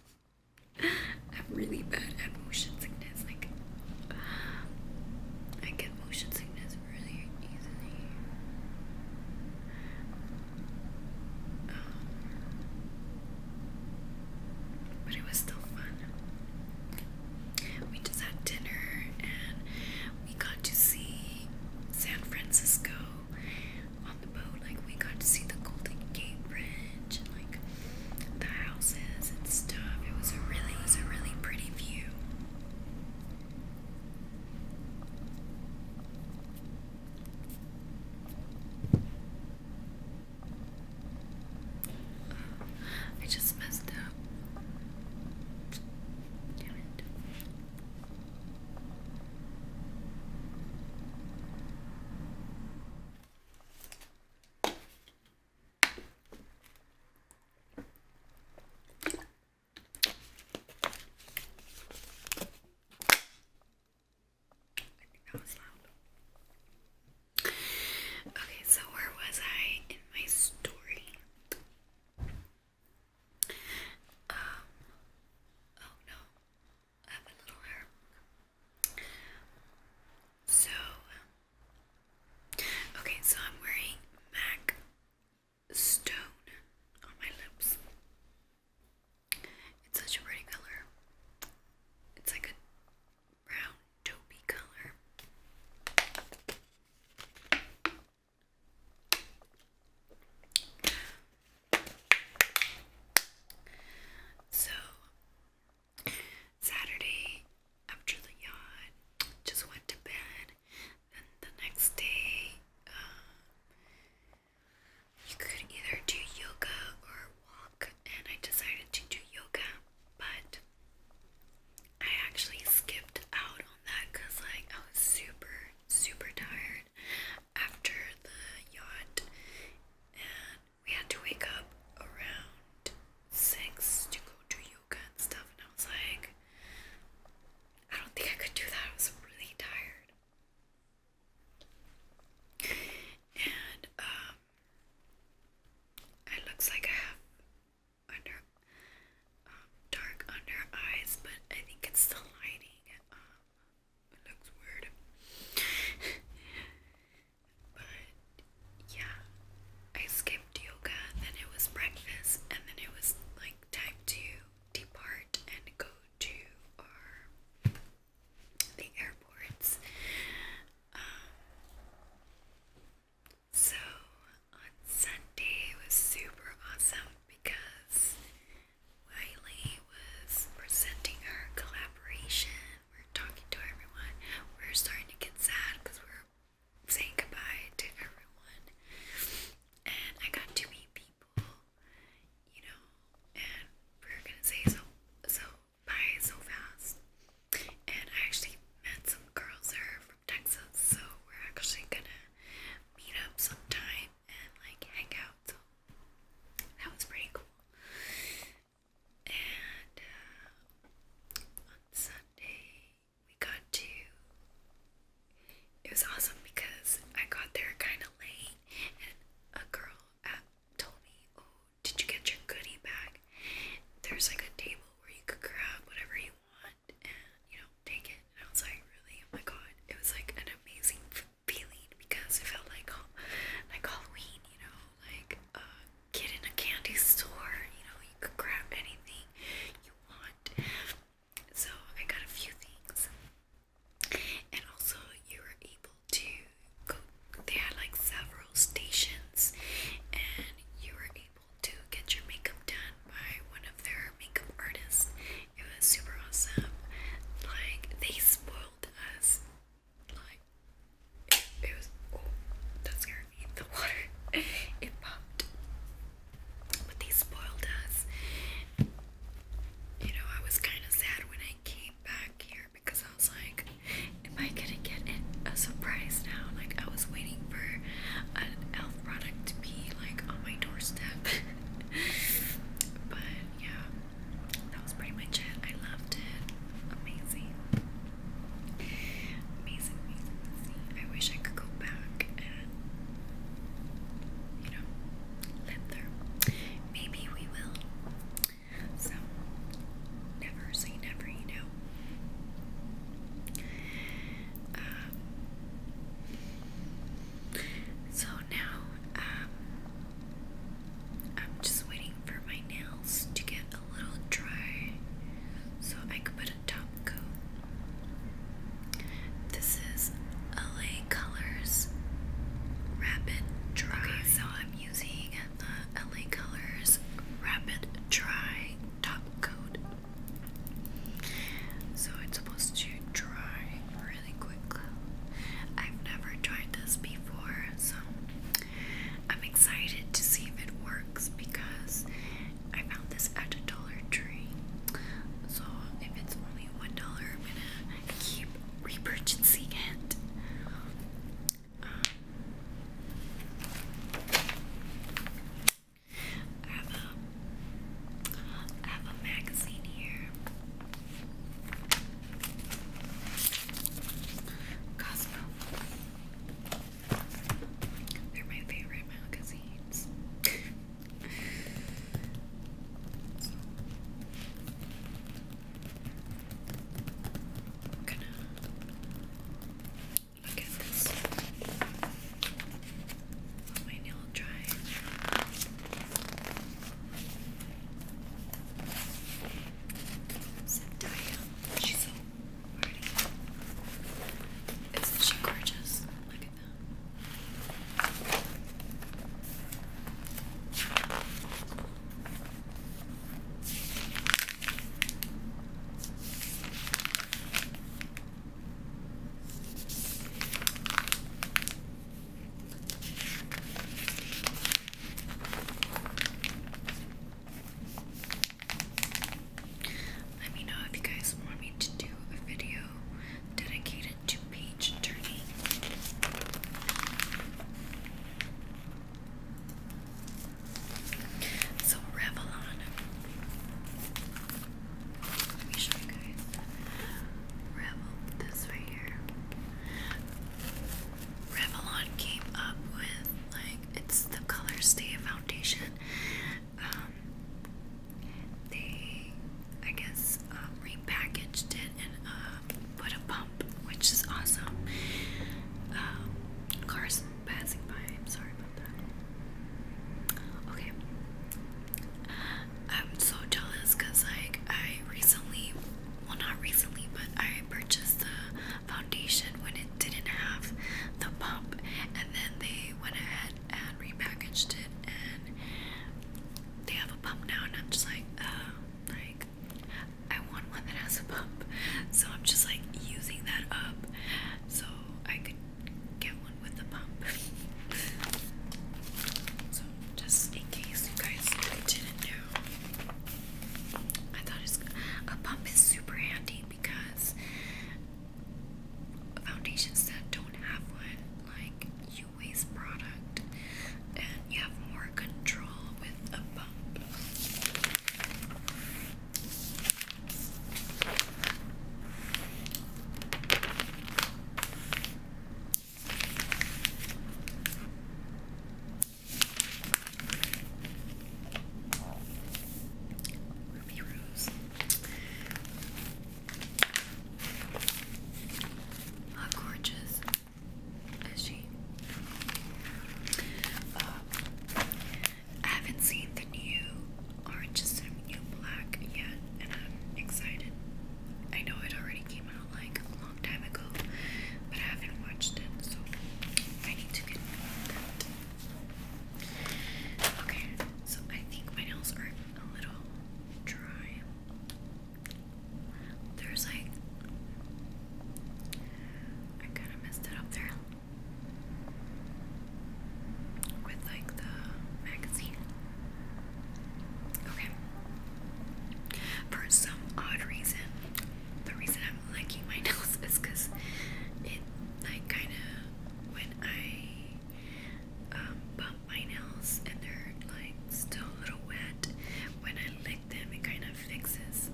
I'm really bad at motion sickness, like, I get motion sickness really easily. Um, but it was still fun we just had dinner and we got to see San Francisco on the boat. Like, we got to see the Golden Gate Bridge and, like, the houses and stuff. It was a really, it was a really pretty view. I just messed up. I think that was loud. Okay, so where was I in my story? Uh, oh no, I have a little hair. So, um, okay, so I'm wearing MAC Stone on my lips. It's such a pretty color. It's like a brown taupey color. So, Saturday after the yacht, just went to bed. Then the next day, um, you could either do yoga or walk and I decided to do yoga, but I actually skipped out on that because, like, I was super, super tired after the yacht, and we had to wake up around six to go do yoga and stuff. And I was like, I don't think I could do that. I was really tired, and um, it looks like I have under um, dark under eyes, but I think it's the lighting. Um, it looks weird, but yeah, I skipped yoga, then it was breakfast, and then it was like time to depart and go to our the airports so on Sunday it was super awesome because Wiley was presenting our collaboration. We're talking to everyone. We're starting to get sad because we're saying goodbye to everyone. And I got to meet people, you know, and we're gonna say so so by so fast. And I actually met some girls there from Texas, so we're actually gonna meet up sometime and like hang out. So that was pretty cool. And uh, on Sunday we got to. It was awesome because I got there kind of late, and a girl at, told me, "Oh, did you get your goodie bag? There's like a table where you could grab whatever you want and you know take it. And I was like, really? Oh my god! It was like an amazing feeling because it felt like like Halloween, you know, like a uh, in a candy store. You know, you could grab anything you want. So I got a few things, and also you were able to they had like several stations and you were able to get your makeup done by one of their makeup artists. It was super awesome. Like they spoiled us. Like it, it was oh that scared me. The water it popped. But they spoiled us. You know, I was kinda sad when I came back here because I was like, am I gonna get a surprise now? Like I was waiting for an elf product to be like on my doorstep. but yeah, that was pretty much it. I loved it. Amazing. Amazing, amazing, I wish I could go back and you know, live there. Maybe we will. So, never say never, you know. Um, so now, um, I'm just waiting for my nails to get a little dry so I can put a top coat. This is LA Colors Rapid Dry. Okay, so I'm using the uh, LA Colors Rapid Dry Top Coat. So it's supposed to dry really quickly. I've never tried this before, so I'm excited to see if it works because I found this at a Dollar Tree. So if it's only $1, I'm gonna keep repurchasing it. Um, I have a I have a magazine here. Cosmo. They're my favorite magazines. I'm gonna look at this on my nail drive. Zendaya, she's so pretty. Isn't she gorgeous? Look at that. Let me know if you guys want me to do a video dedicated to page turning. So Revlon. Let me show you guys. Revlon, this right here. Revlon came up with like it's the Color Stay Foundation. Um, they, I guess, um, repackaged it and uh, put a pump, which is awesome. Um, Carson passing by. I'm sorry about that. Okay. I'm so jealous because, like, I recently, well, not recently, but I purchased the foundation when it didn't have the pump, and then they went ahead and repackaged it, and they have a pump now, and I'm just like, like, I want one that has a pump, so I'm just like using that up so I could get one with a pump. so just in case you guys didn't know, I thought it's, a pump is super handy because foundations that don't have one, like you waste product and you have more control with a pump. Ruby Rose. How gorgeous is she? Uh, I haven't seen the new Orange is the New Black yet, and I'm excited. I know it already came out like a long time ago, but I haven't watched it, so I need to get that. Okay, so I think my nails are a little dry. There's like I kind of messed it up there with like the magazine. Okay. For some odd reason, the reason I'm licking my nails is because it like kind of when I um, bump my nails and they're like still a little wet when I them, it kind of fixes.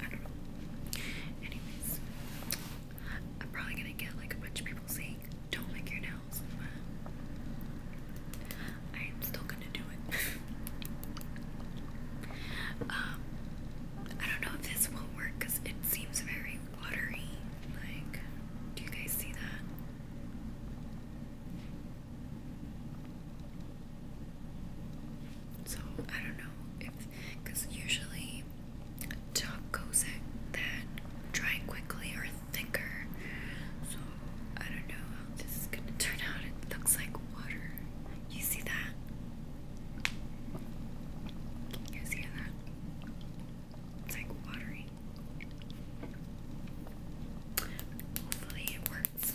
I don't know. Anyways, I'm probably gonna get like a bunch of people saying, "Don't lick your nails," but I am still gonna do it. um, I don't know if this will work because it seems very watery. Like, do you guys see that? So I don't know if, because usually top goes in that dry quickly or thicker. So I don't know how this is gonna turn out. It looks like water. You see that? Can you see that? It's like watery. Hopefully it works.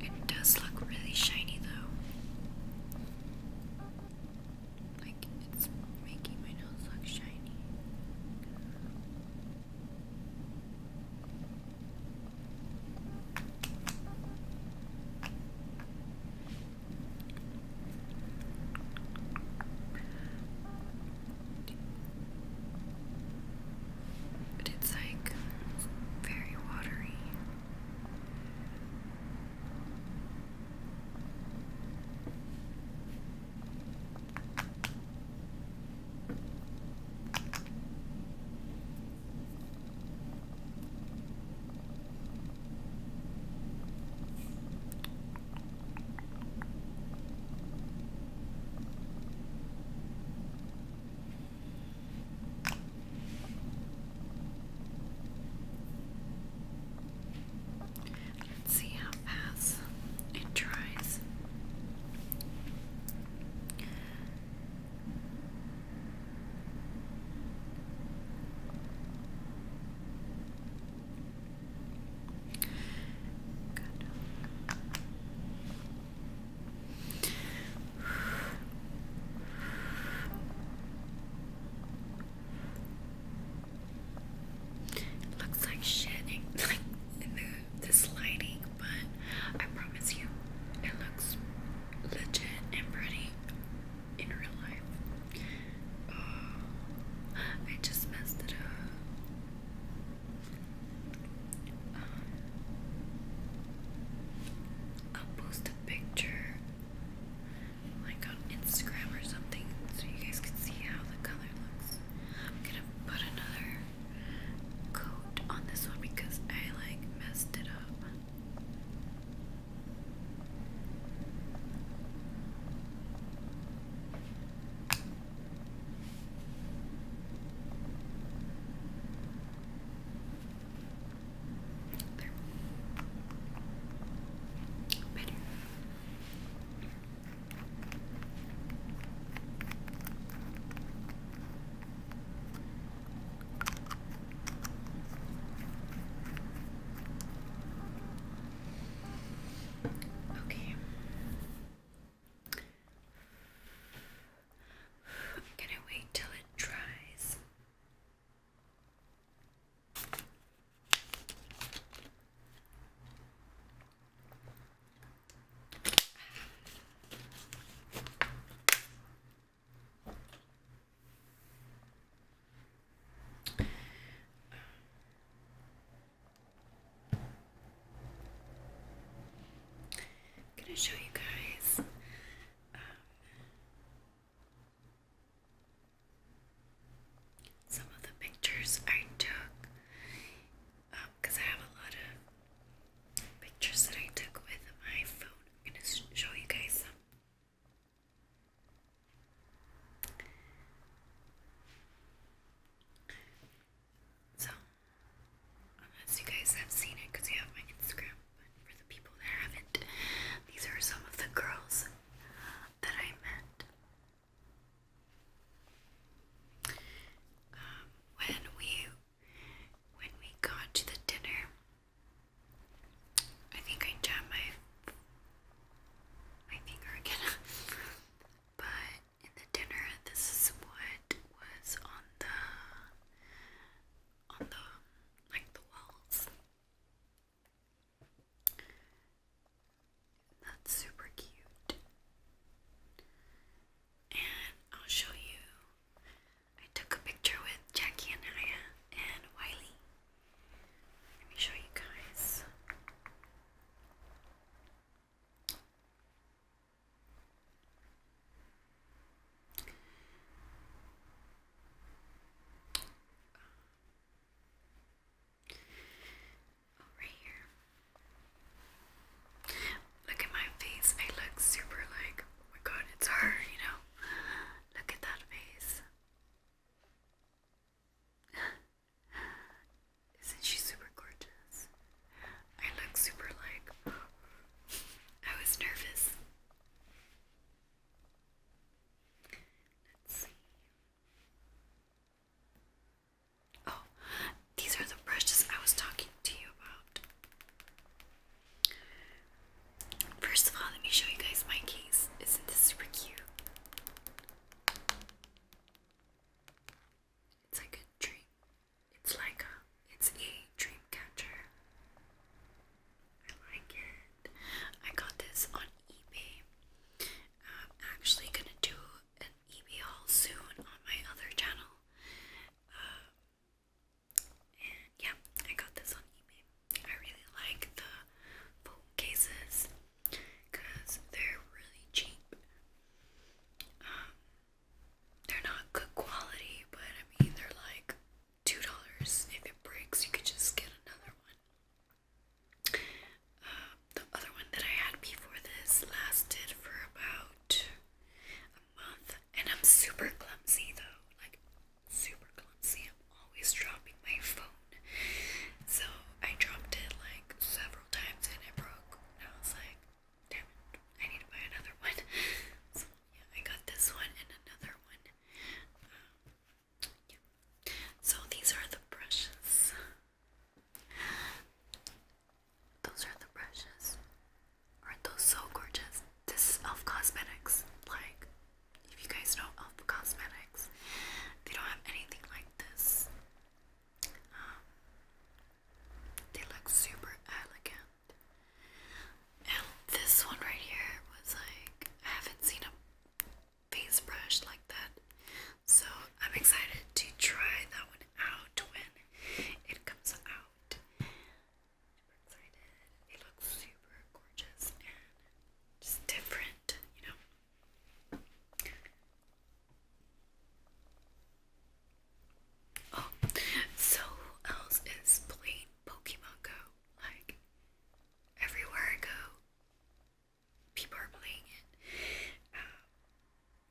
It does look really shiny though. Like it's making my nose look shiny. But it's like very watery. Let's see how fast it dries. Good. It looks like shit, this lighting, but I promise you, it looks legit and pretty in real life. Oh, I just messed it up. Um, I'll post a picture like on Instagram or something so you guys can see how the color looks. I'm gonna put another coat on this one because I like messed it up. There. Better. Okay. I'm going to wait till it dries. I'm gonna show you guys. Um, some of the pictures I took because um, I have a lot of pictures that I took with my phone. I'm gonna show you guys some. So, unless you guys have seen it because you have my Instagram, but for the people that haven't, these are some of the girls that I met um, when we when we got to the dinner, I think I jammed my my finger again. but in the dinner, this is what was on the on the like the walls. That's super cute and I'll show you. I took a picture with Jackie and Aya and Wiley. Let me show you guys. Oh, here. Look at my face. I look super like, oh my god, it's her, you know? Look at that face. Isn't she super gorgeous? I look super like, I was nervous. Let's see. Oh, these are the brushes I was talking to you about. First of all, let me show you guys my case. Isn't this super cute? It's like a dream. It's like a, it's a dream catcher. I like it. I got this on eBay. I'm actually gonna do an eBay haul soon on my other channel. Uh, and yeah, I got this on eBay. I really like the phone cases because they're really cheap. Um, they're not good quality, but I mean, they're like $2. If it breaks, you could just get another one. Uh, the other one that I had before this lasted for about month. And I'm super clumsy though, like super clumsy. I'm always dropping my phone. So I dropped it like several times and it broke. And I was like, damn it, I need to buy another one. So yeah, I got this one and another one. Um, So these are the brushes. Those are the brushes. Aren't those so gorgeous? This is Elf Cosmetics. Like, if you guys know Elf Cosmetics, they don't have anything like this. Um, they look super elegant. And this one right here was like, I haven't seen a face brush like that. So I'm excited to try that one out when it comes out. Super excited. It looks super gorgeous and just different, you know. Oh, so else is playing Pokemon Go? Like, everywhere I go, people are playing it. Um,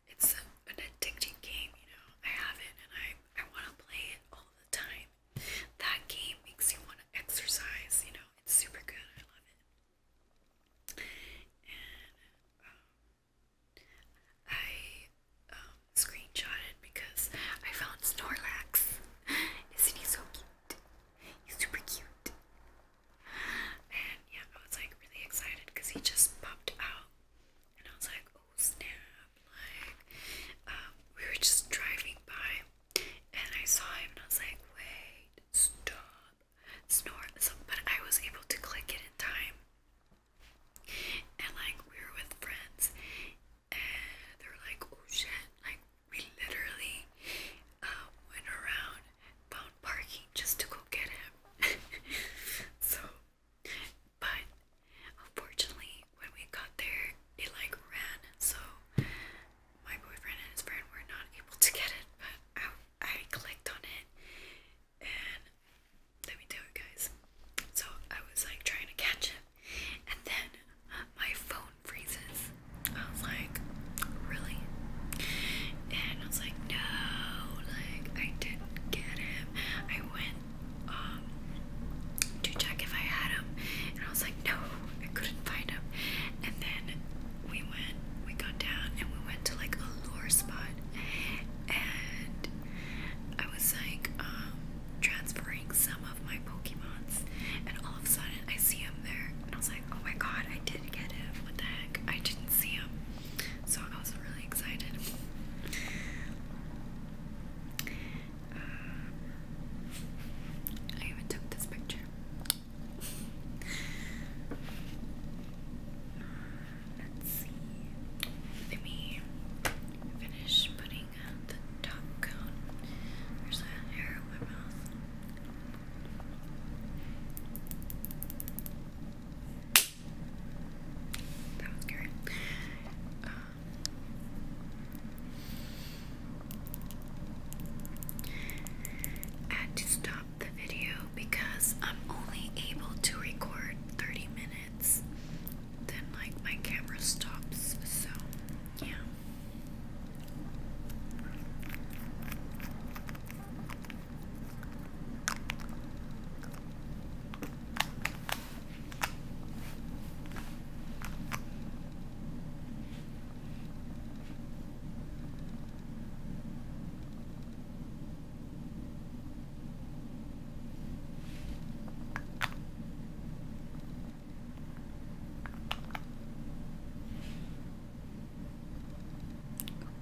it's a, an addicting game, you know. I have it and I I want to play it all the time. That game makes you want to exercise, you know. It's super good. I love it. And um, I um, screenshotted because I found Snorlax. Isn't he so cute? He's super cute. And yeah, I was like really excited because he just popped out. And I was like, snap, like, um, we were just driving by and I saw him and I was like, wait, stop, snort. So, but I was able to click it in time. And like, we were with friends and they were like, oh shit, like, we literally um, went around, found parking just to go get him. so, but unfortunately when we got there it like ran so my boyfriend and his friend were not able to get it but I, I clicked on it and let me tell you guys so I was like trying to catch it and then my phone freezes I was like really and I was like no like I didn't get him I went um, to check if I had them, and I was like, no, I couldn't find them. And then we went, we got down, and we went to like a lure spot, and I was like, um, transferring some of my Pokemons, and all of a sudden I see him there, and I was like, oh my god, I did get him. What the heck? I didn't see him. So I was really excited. Uh, I even took this picture. Let's see. Let me finish putting the top cone. There's a hair in my mouth had to stop the video because I'm only able to record 30 minutes. Then, like, my camera stops, so yeah.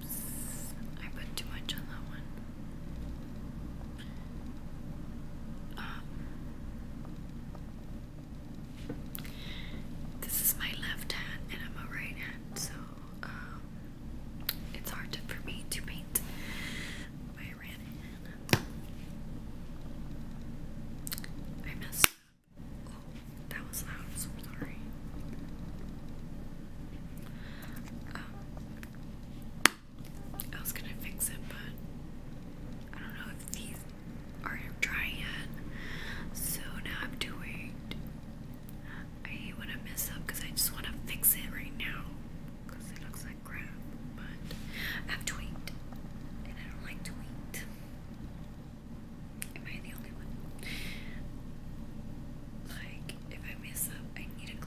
Oops, I put too much on that one this is my left hand, and I'm a right hand, so um, it's hard for me to paint my right hand. I messed up. Oh, that was loud. sorry. Um, I was gonna fix it, but I don't know if these aren't dry yet. So now I'm doing. I hate when I mess up because I just want to fix it right now because it looks like crap. But I have to and I don't like to Am I the only one? Like, if I mess up, I need to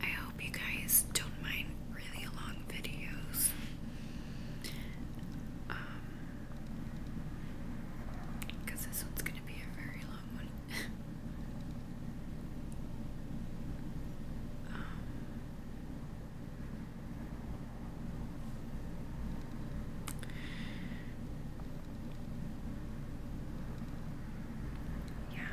I hope you guys don't mind really long videos. Um, because this one's gonna be a very long one. Um, yeah.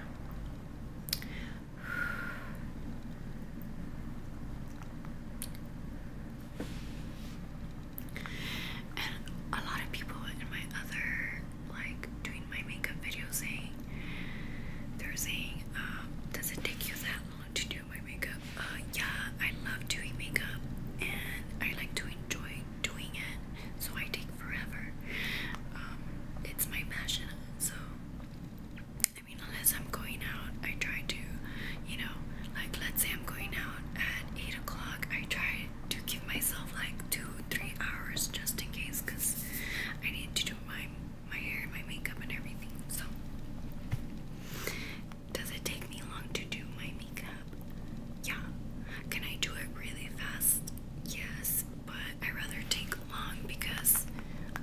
And a lot of people in my other, like, doing my makeup video saying, they're saying, um, does it take you that long to do my makeup? uh, yeah, I love doing makeup and I like to enjoy doing it, so I take forever. Um, it's my passion, so I mean, unless I'm going out, I try to, you know, like let's say I'm going out at 8 o'clock, I try to give myself like 2 3 hours just in case because I need to do my my hair, my makeup, and everything. So, does it take me long to do my makeup? Yeah. Can I do it really fast? Yes, but I rather take long because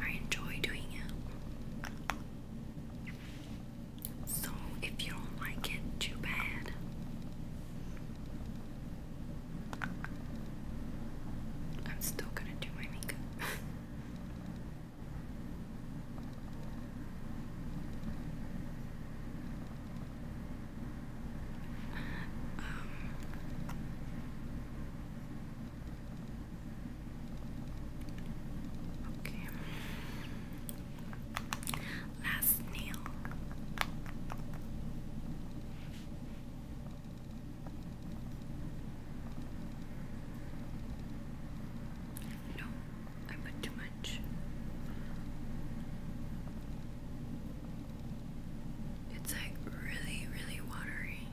I enjoy doing it. So if you don't like it, too bad. I'm still gonna do my makeup. Um, okay. Last nail. No, I put too much. It's like really, really watery.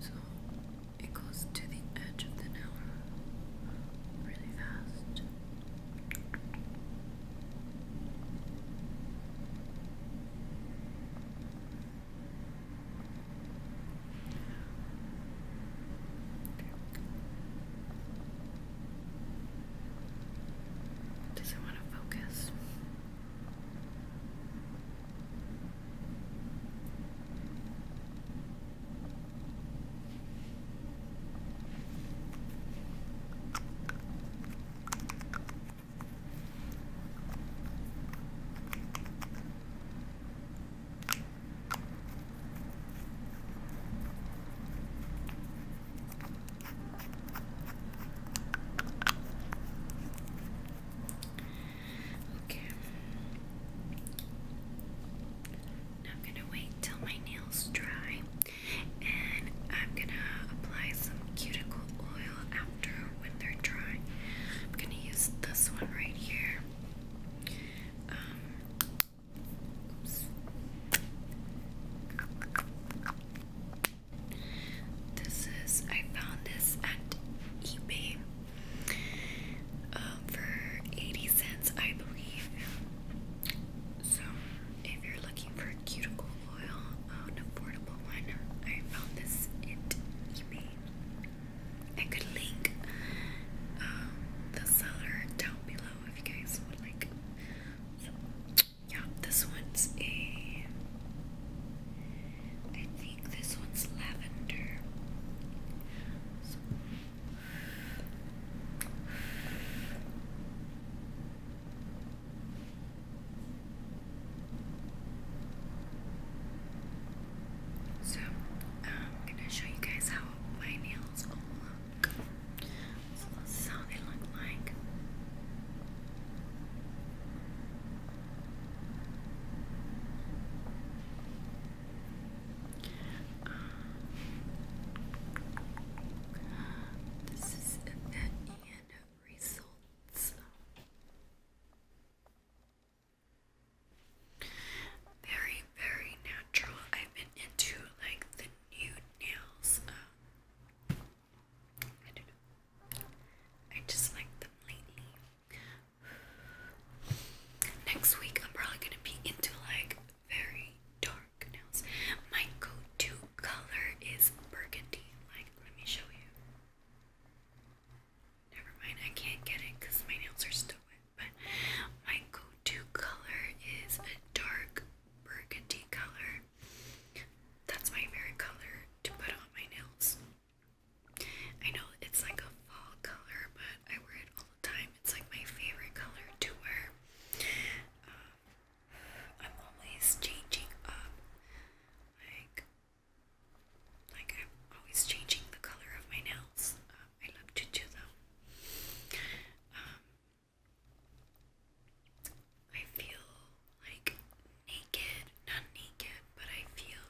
So it goes to the edge of the nail really fast. Doesn't want to focus. Okay. Now I'm gonna wait till my nails dry and I'm gonna apply some cuticle oil after when they're dry. I'm gonna use this one right here. Um, this is, I found this at eBay um, for 80 cents, I believe. So, if you're looking for cuticle oil, an affordable one, I found this at eBay. I could link um, the seller down below yeah, this one's a. I think this one's lavender. So, um, I'm gonna show you guys how my nails all skunk. So that's how they look like. this is the end results. Very, very natural. I've been into like the nude nails. Uh, I don't know. I just like them lately. Next week, I'm probably gonna be into like very dark nails. My go-to color is burgundy. Like, let me show you. Never mind, I can't get it because my nails are still wet. My go-to color is a dark burgundy color. That's my favorite color to put on my nails. I know it's like a fall color, but I wear it all the time. It's like my favorite color to wear. Um, I'm always changing up, like, like I'm always changing the color of my nails. I love to do them. I feel like naked, not naked, but I feel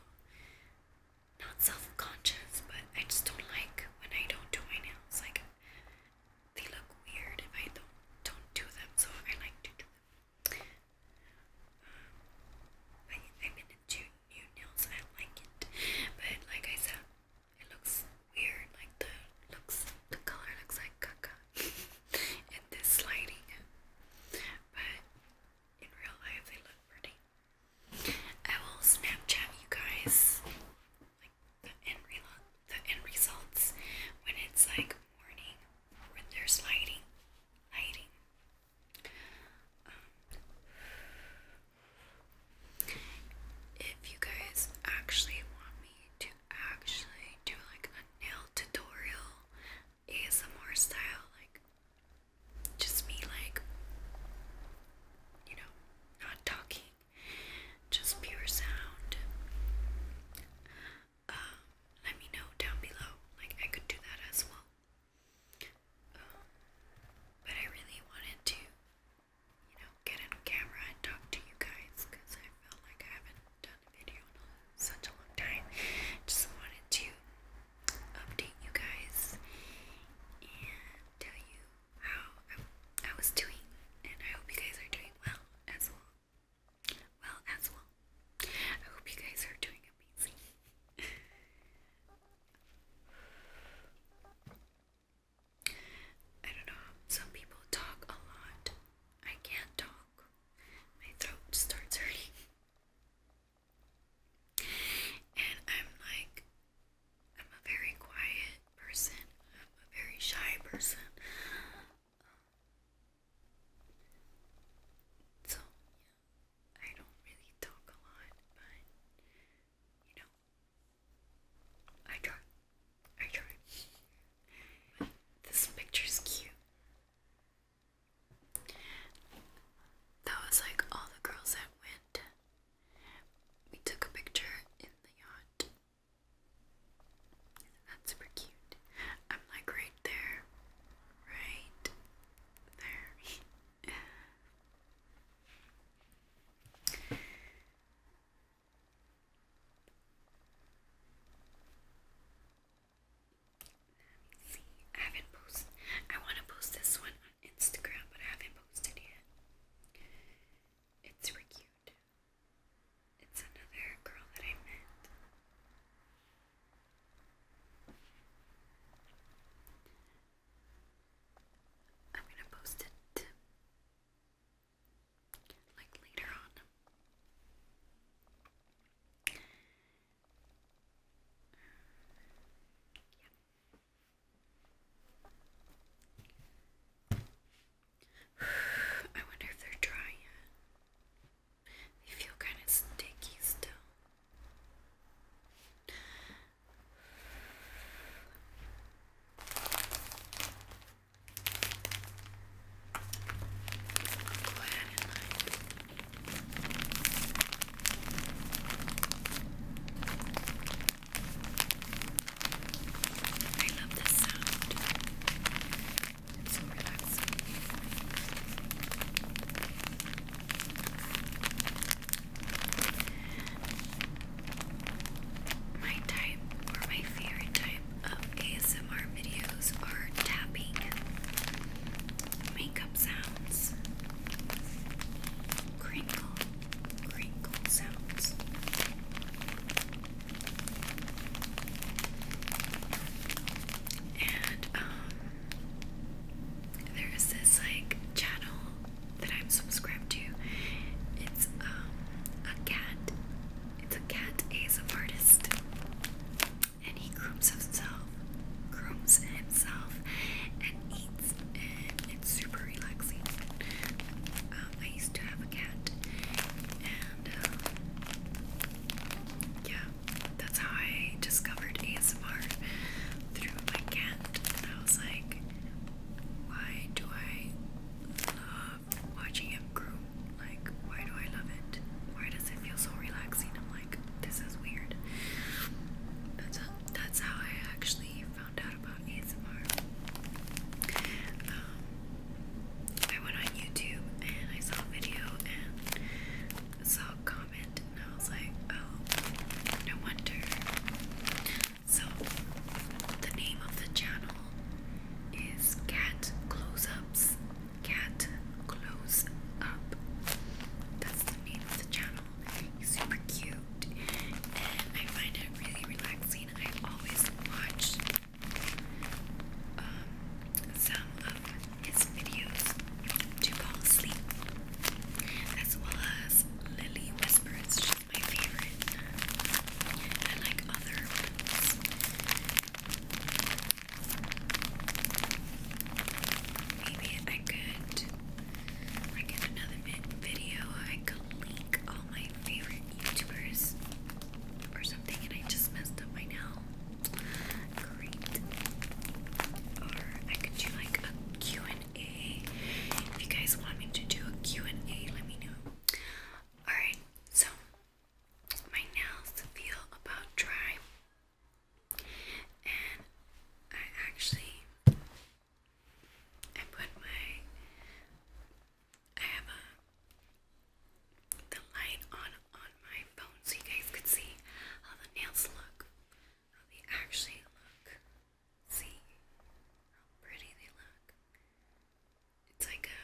not self conscious, but I just don't like when I don't do my nails. Like, they look weird if I don't, don't do them, so I like to do them. Um, I, I'm into new nails, I like it, but like I said, it looks weird, like the looks the color looks like caca in this lighting. But in real life they look pretty. I will Snapchat you guys like the end re- the end results when it's like morning when there's lighting. Lighting. Um, if you guys actually want me to actually do like a nail tutorial ASMR style, like just me like you know, not talking, just pure sound. Um, let me know down below. Like I could do that as well. Um, but I really wanted to you know, get in camera and talk to you guys because I felt like I haven't done a video in such a long time. Just wanted to update you guys and tell you how I was doing, and I hope you guys are doing well as well. Well, as well. I hope you guys are doing amazing. I don't know. Some people talk a lot. I can't talk. My throat starts hurting. And I'm like, I'm a very quiet person. I'm a very shy person. So, I don't really talk a lot, but you know, I try. I try. This picture's cute. That was like all the girls that went. We took a picture in the yacht. That's super cute. I'm like right there. Right there. Let me see. I haven't posted. I want to post this one on Instagram, but I haven't posted yet. It's really cute. It's another girl that I met. I'm gonna post it like later on. yeah. I wonder if they're dry yet. They feel kind of sticky still go ahead and like I love this sound. It's so relaxing. My type, or my favorite type of ASMR videos are tapping, makeup sounds, crinkle, crinkle sounds. And um, there is this like channel that I'm subscribed to. It's um a cat. It's a cat ASMR artist, and he grooms himself, grooms himself, and eats, and it's super relaxing. Um, I used to have a cat, and uh, yeah, that's how I discovered ASMR through my cat. And I was like, why do I love watching him grow? Like, why do I love it? Why does it feel so relaxing? I'm like, this is weird. That's how, that's how I actually found out about ASMR. Um, I went on YouTube and I saw a video and saw a comment and I was like, oh, no wonder. So, the name of the channel is Cat Close Ups. Cat Close Up. That's the name of the channel. super cute, and I find it really relaxing. I always watch um, some of his videos to fall asleep, as well as Lily Whispers my favorite. I like other ones. Maybe I could, like in another video, I could link all my favorite YouTubers or something, and I just messed up my nail. Great. Or I could do like a Q and if you guys want me to do a Q&A, let me know. Alright, so my nails feel about dry. And I actually I put my I have the light on on my phone so you guys could see how the nails look. How they actually look. See how pretty they look. It's like a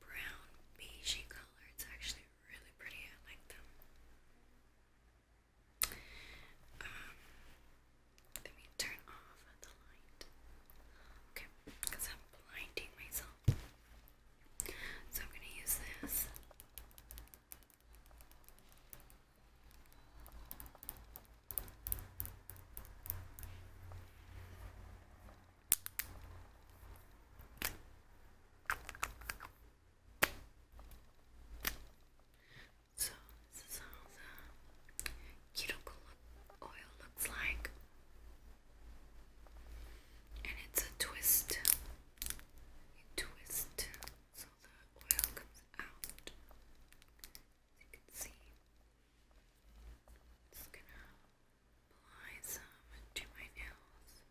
brown beigey color. It's actually really pretty. I like them. Um, let me turn off the light. Okay, because I'm blinding myself. So I'm gonna use this. So this is how the keto oil looks like, and it's a twist. You twist so the oil comes out. As you can see. Just gonna apply some to my nails.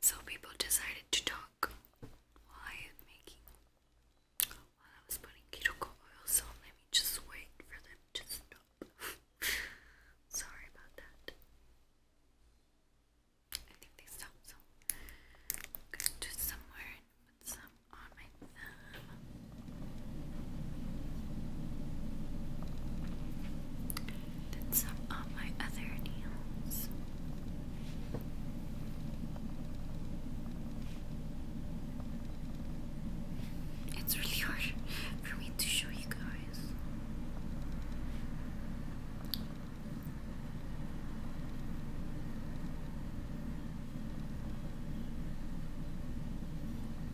So people decided to talk while I making while I was putting ketoko oil, so let me just wait for them to stop. Sorry about that. I think they stopped so I'm gonna do some and put some on with some on my other nails. It's really hard for me to show you guys.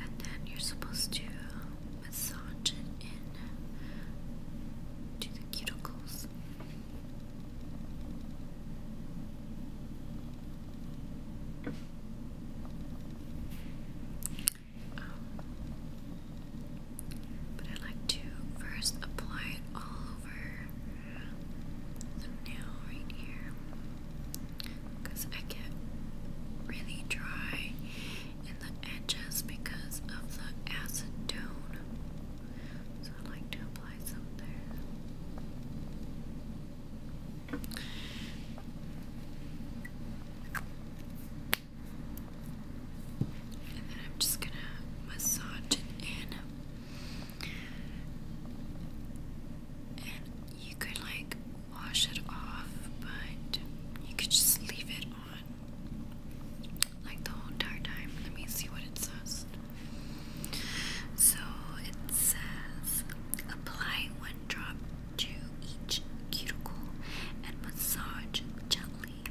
And then you're supposed to massage it in to the cuticles. Um, but I like to first apply it all over the nail right here because I get really dry in the edges because of the acetone. So I like to apply some there. And then I'm just gonna massage it in you could like wash it off, but you could just leave it on like the whole entire time. Let me see what it says. So it says apply one drop to each cuticle and massage gently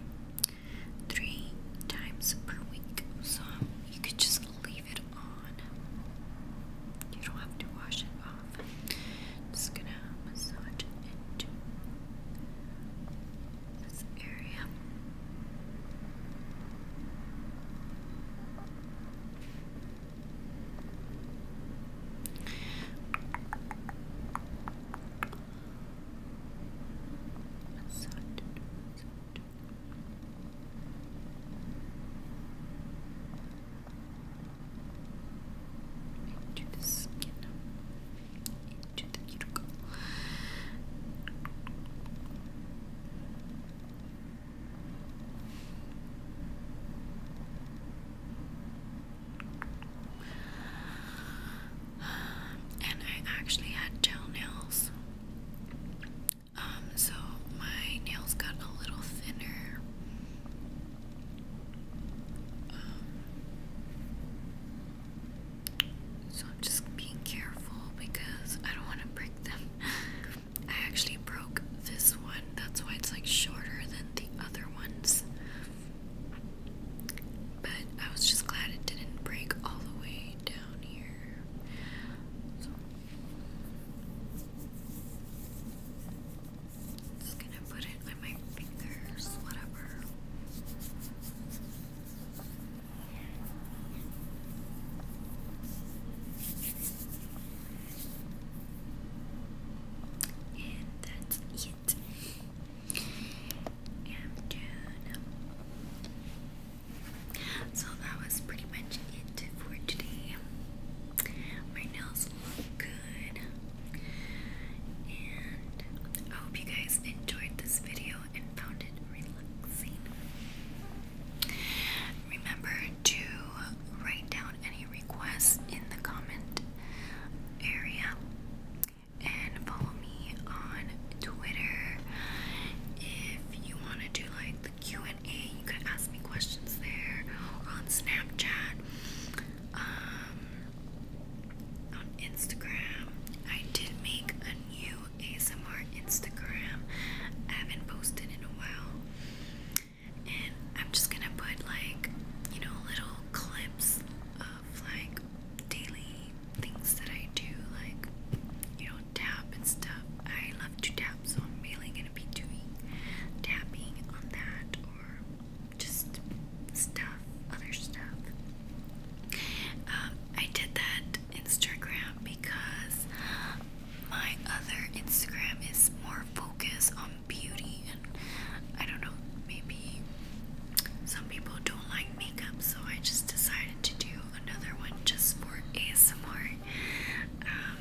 three times per week. So you could just leave it on. You don't have to wash it off. Just gonna massage into this area. Massage massage into the skin, into the cuticle. And I actually had toenails. Um, so my nails got a little thinner. Um, so I'm just being careful because I don't want to break them. I actually broke this one, that's why it's like shorter than the other ones. But I was just glad it didn't break all the way down here. Just gonna put it on my fingers, whatever. And that's it. I'm done. So that was pretty much it for today my nails look good. And I hope you guys enjoyed this video and found it relaxing. Remember to write down any requests in the comment area and follow me on Twitter if you want to do like the Q and You can ask me questions there or on Snapchat, um, on Instagram. I did make a new ASMR Instagram. I haven't posted in a while. And I'm just gonna put like, you know, little clips of like daily things that I do, like, you know, tap and stuff. I love to tap so I'm mainly gonna be doing tapping on that or just stuff, other stuff. Um, I did that Instagram because my other Instagram is more focused on beauty, and I don't know, maybe some people don't like makeup, so I just decided to do another one just for ASMR. Um,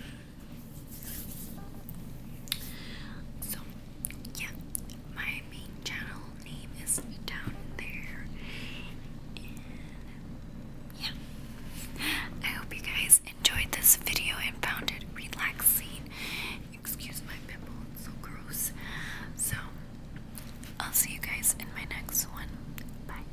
so, yeah, my main channel name is down there. yeah, I hope you guys enjoyed this video and found it relaxing. Excuse my pimple, it's so gross. So, I'll see you guys in my next one. Bye.